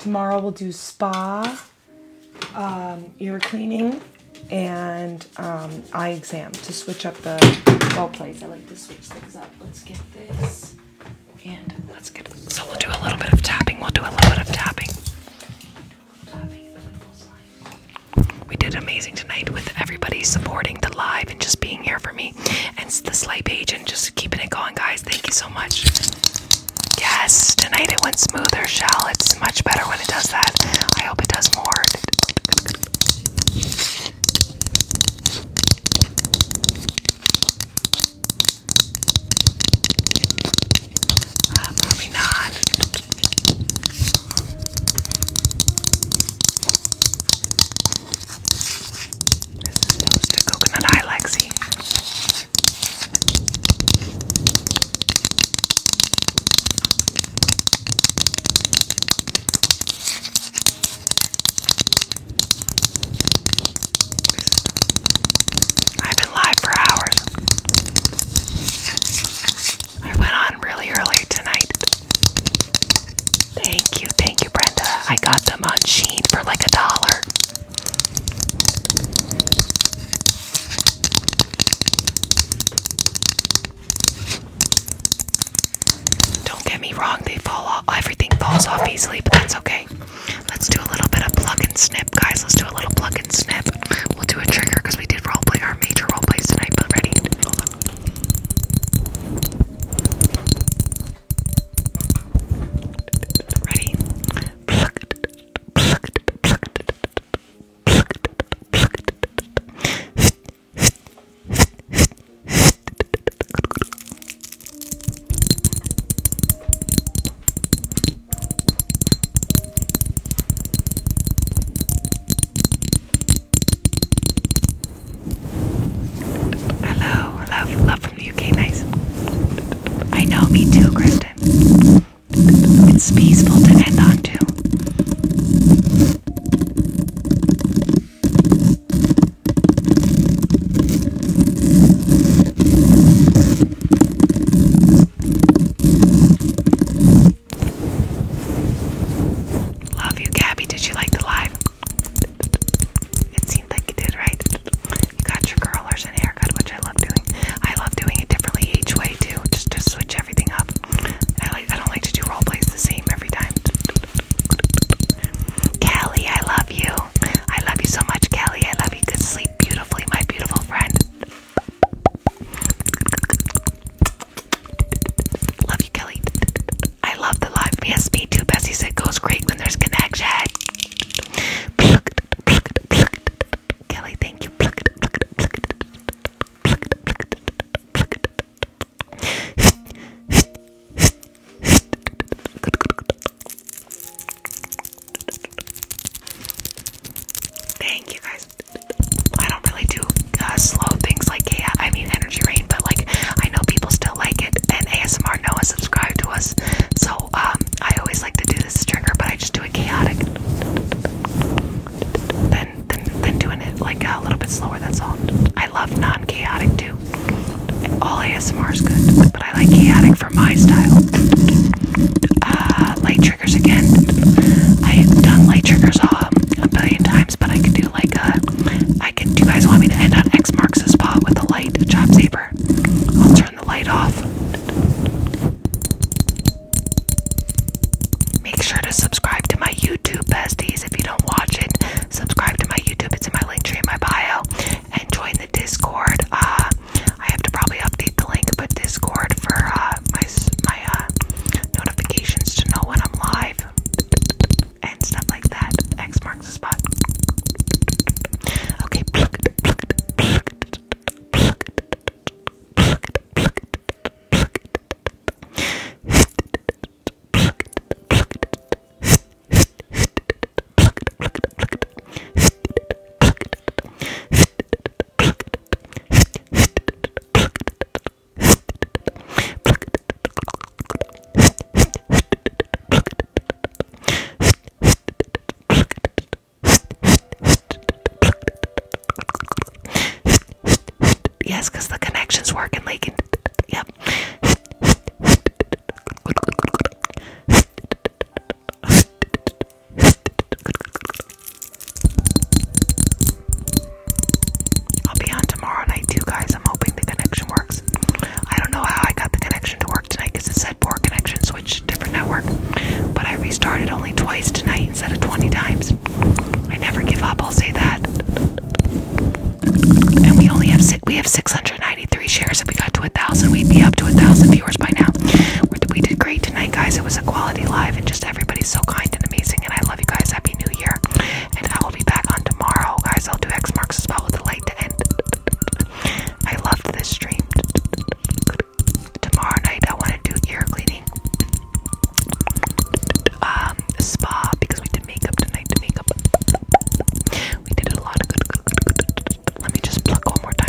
Tomorrow we'll do spa, um, ear cleaning, and um, eye exam to switch up the well please! I like to switch things up. Let's get this, and let's get. So we'll do a little bit of tapping. We'll do a little bit of tapping. We did amazing tonight with everybody supporting the live and just being here for me and the sleigh page and just keeping it going, guys. Thank you so much. Yes, tonight it went smoother, Shall It's much better when it does that. I hope it does more. probably uh, not. This is toasted coconut eye Lexi. I've been live for hours. I went on really early tonight. Thank you, thank you, Brenda. I got them on Sheen for like a dollar. Don't get me wrong, they fall off. Everything falls off easily, but that's okay. Let's do a little bit of plug and snip, guys. Let's do a little plug and snip. We'll do a trigger because we did roleplay our major roleplays tonight. But ready? Ready? Pluck it, pluck it, pluck it, pluck it, pluck it. Hello, love, love from the UK, nice. I know, me too, Kristen. It's peaceful to end on too. Love you, Gabby. Did you like the live? It seemed like you did, right? You got your curlers and haircut, which I love doing. I love doing it differently each way too, just to switch everything up. I like I don't like to do role plays the same every time. Kelly, I love you. I love you so much, Kelly. I love you. Good sleep beautifully, my beautiful friend. Love you, Kelly. I love the live. VSP me too. Bessie said goes great when there's connection. Kelly, thank you. Thank you guys. I don't really do uh, slow things like yeah, I mean energy rain, but like I know people still like it, and ASMR no one subscribed to us, so um, I always like to do this trigger, but I just do a chaotic, then then doing it like a little bit slower. That's all. I love non-chaotic too. All ASMR is good, but I like chaotic for my style. Uh, light triggers again. I have done light triggers um, a billion times but I could do like a. Uh, I could. Do you guys want me to end on X marks the spot with a light chop saber? I'll turn the light off. Make sure to subscribe to my YouTube besties if you don't watch it. Subscribe to my YouTube, it's in my link tree in my bio. And join the Discord. Uh, I have to probably update the link, but Discord for uh, my my uh, notifications to know when I'm live and stuff like that. X marks the spot. Okay, Yes, because the connections work in Yep. I'll be on tomorrow night too, guys. I'm hoping the connection works. I don't know how I got the connection to work tonight because it said poor connection, switch different network. But I restarted only twice tonight instead of 20 times. I never give up. I'll say that. And we only have we have 693 shares. If we got to a thousand, we'd be up to a thousand viewers by now. We did great tonight, guys. It was a quality live, and just everybody's so kind and amazing. And I love you guys. Happy New Year and I will be back on tomorrow, guys. I'll do X marks the spot with the light to I loved this stream. Tomorrow night, I want to do ear cleaning, um, spa because we did makeup tonight. makeup, we did a lot Let me just pluck one more time.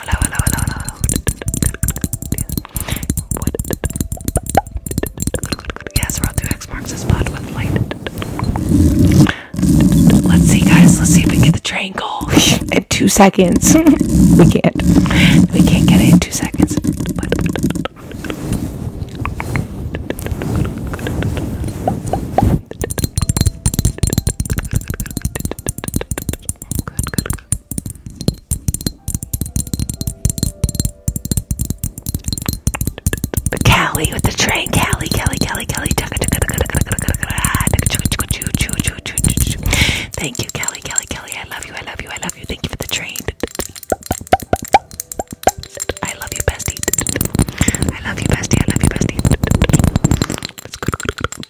Hello, hello, hello, hello. What? Yes, road to X marks the spot with light. Let's see, guys. Let's see if we can get the train goal in two seconds. we can't. We can't get it in two seconds. But Good, with the train. Callie, Callie, Callie, Callie. Thank you, Callie, Callie, Callie. I love you, I love you, I love you. Thank you for the train. I love you, bestie. I love you, bestie. I love you, bestie.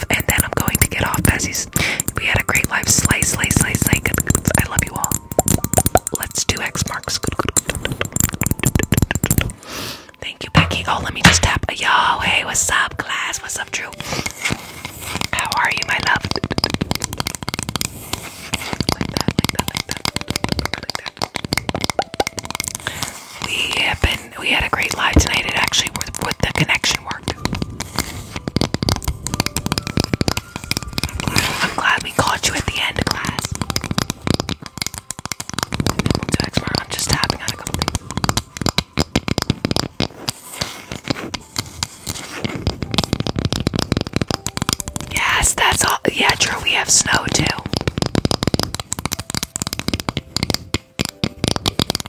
off, and then I'm going to get off because we had a great life. Slay, slay, slay, slay. I love you all. Let's do X marks. Thank you, Becky. Oh, let me just tap. Yo, hey, what's up, class? What's up, Drew? How are you, my love? Like that, like that, like that, like that. We have been we had a great live tonight. It actually worked with the connection worked. I'm glad we caught you at the end of class. I'm just tapping on a couple things. Yes, that's all. Yeah, true. We have snow too.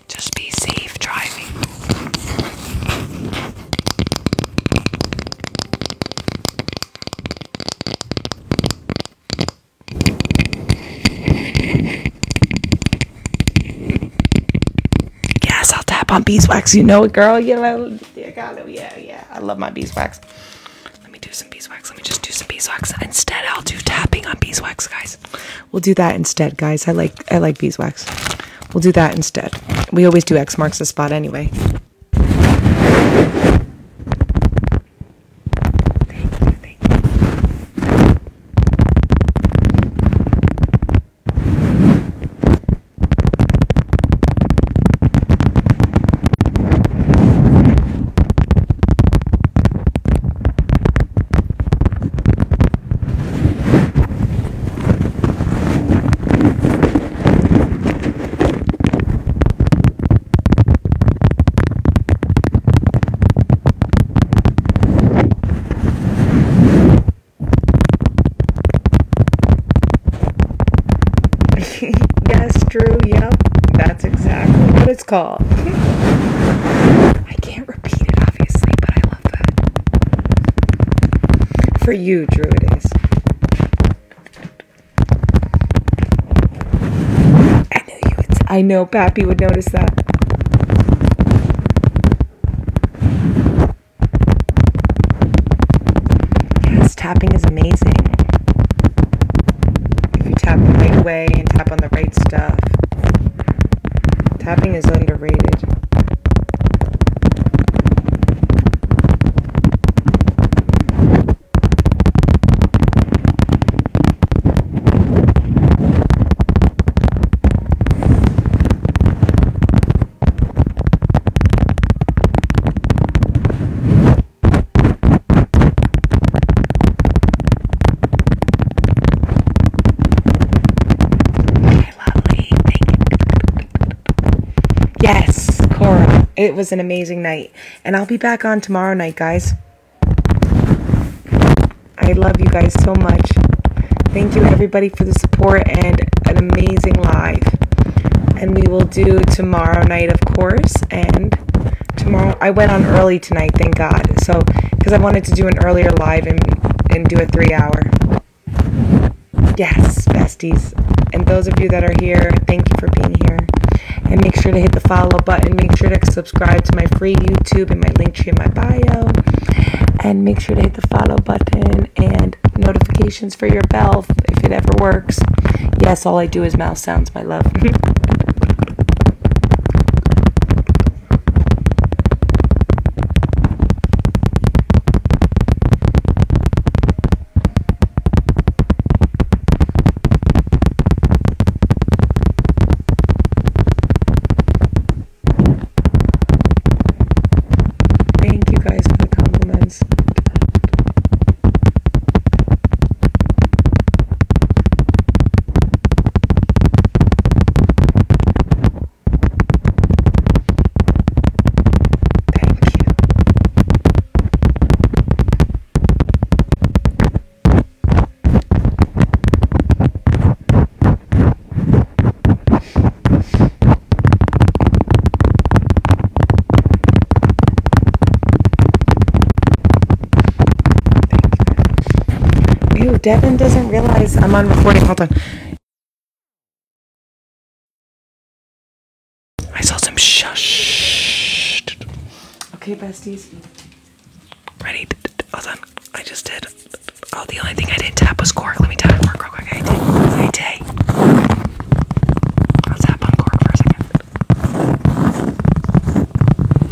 Just be safe driving. Yes, I'll tap on beeswax. You know it, girl. Yeah, oh yeah, yeah. I love my beeswax. Let me do some beeswax. Let me just do some beeswax. Instead, I'll do tapping on beeswax, guys. We'll do that instead, guys. I like I like beeswax. We'll do that instead. We always do X marks the spot anyway. Yes, true, yep. That's exactly what it's called. I can't can obviously, but I love that. For you, Druids. I knew you I know Pappy would notice that. Yes, tapping is amazing. If you tap the right way and tap on the right stuff. Tapping is underrated. Okay, lovely. Thank you. Yes, Cora. It was an amazing night. And I'll be back on tomorrow night, guys. I love you guys so much. Thank you, everybody, for the support and an amazing live. And we will do tomorrow night, of course. And tomorrow, I went on early tonight, thank God. So because I wanted to do an earlier live and, and do a three hour. Yes, besties. And those of you that are here, thank you for being here. And make sure to hit the follow button. Make sure to subscribe to my free YouTube and my link to my bio. And make sure to hit the follow button and notifications for your bell if it ever works. Yes, all I do is mouse sounds, my love. Thank you guys for the compliments. Thank you. Thank you very Ew, Devin doesn't realize I'm on recording. Hold on. I saw some shush. Okay, besties. Ready? Hold on. I just did. Oh, the only thing I did tap was cork. Let me tap cork real quick. I did. I did. I'll tap on cork for a second.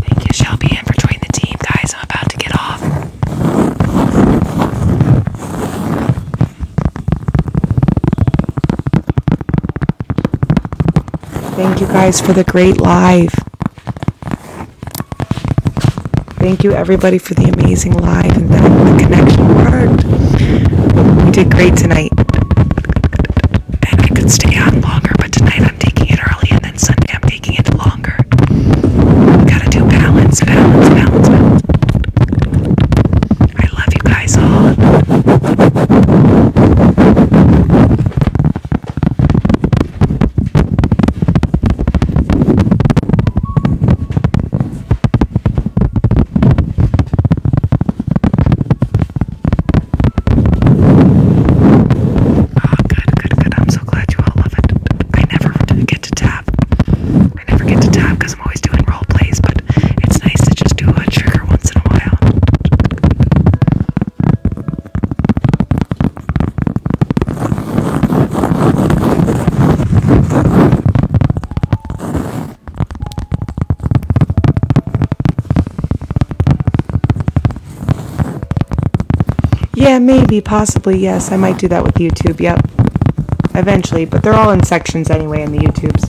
Thank you, Shelby, and for joining the team, guys. I'm about to get off. Thank you guys for the great live. Thank you everybody for the amazing live and the connection worked. We did great tonight. And I could stay on longer, but tonight I'm taking it early and Sunday I'm taking it longer. Gotta do balance, balance, balance, I love you guys all. Oh, good, good, good. I'm so glad you all love it. I never get to tap. I never get to tap because I'm always doing role plays, but it's nice to just do a trigger once in a while. Yeah, maybe, possibly, yes. I might do that with YouTube, yep. Eventually, but they're all in sections anyway in the YouTubes.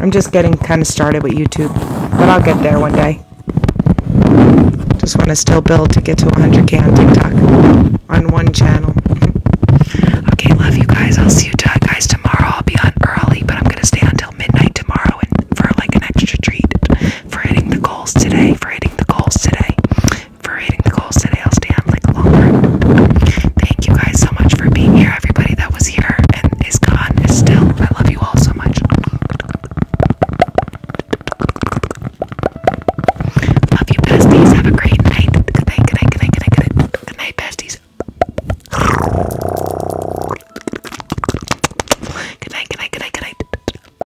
I'm just getting kind of started with YouTube, but I'll get there one day. Just want to still build to get to 100k on TikTok on one channel. okay, love you guys. I'll see you guys tomorrow. I'll be on early, but I'm going to stay until midnight tomorrow and for like an extra treat for hitting the goals today, for hitting the goals today, for hitting the goals today. I'll stay on like longer. Thank you guys so much for being here. Everybody that was here and is gone is still. I love you all so much. Love you, besties. Have a great night, good night, good night. Good night, besties. Good night, good night, good night, good night.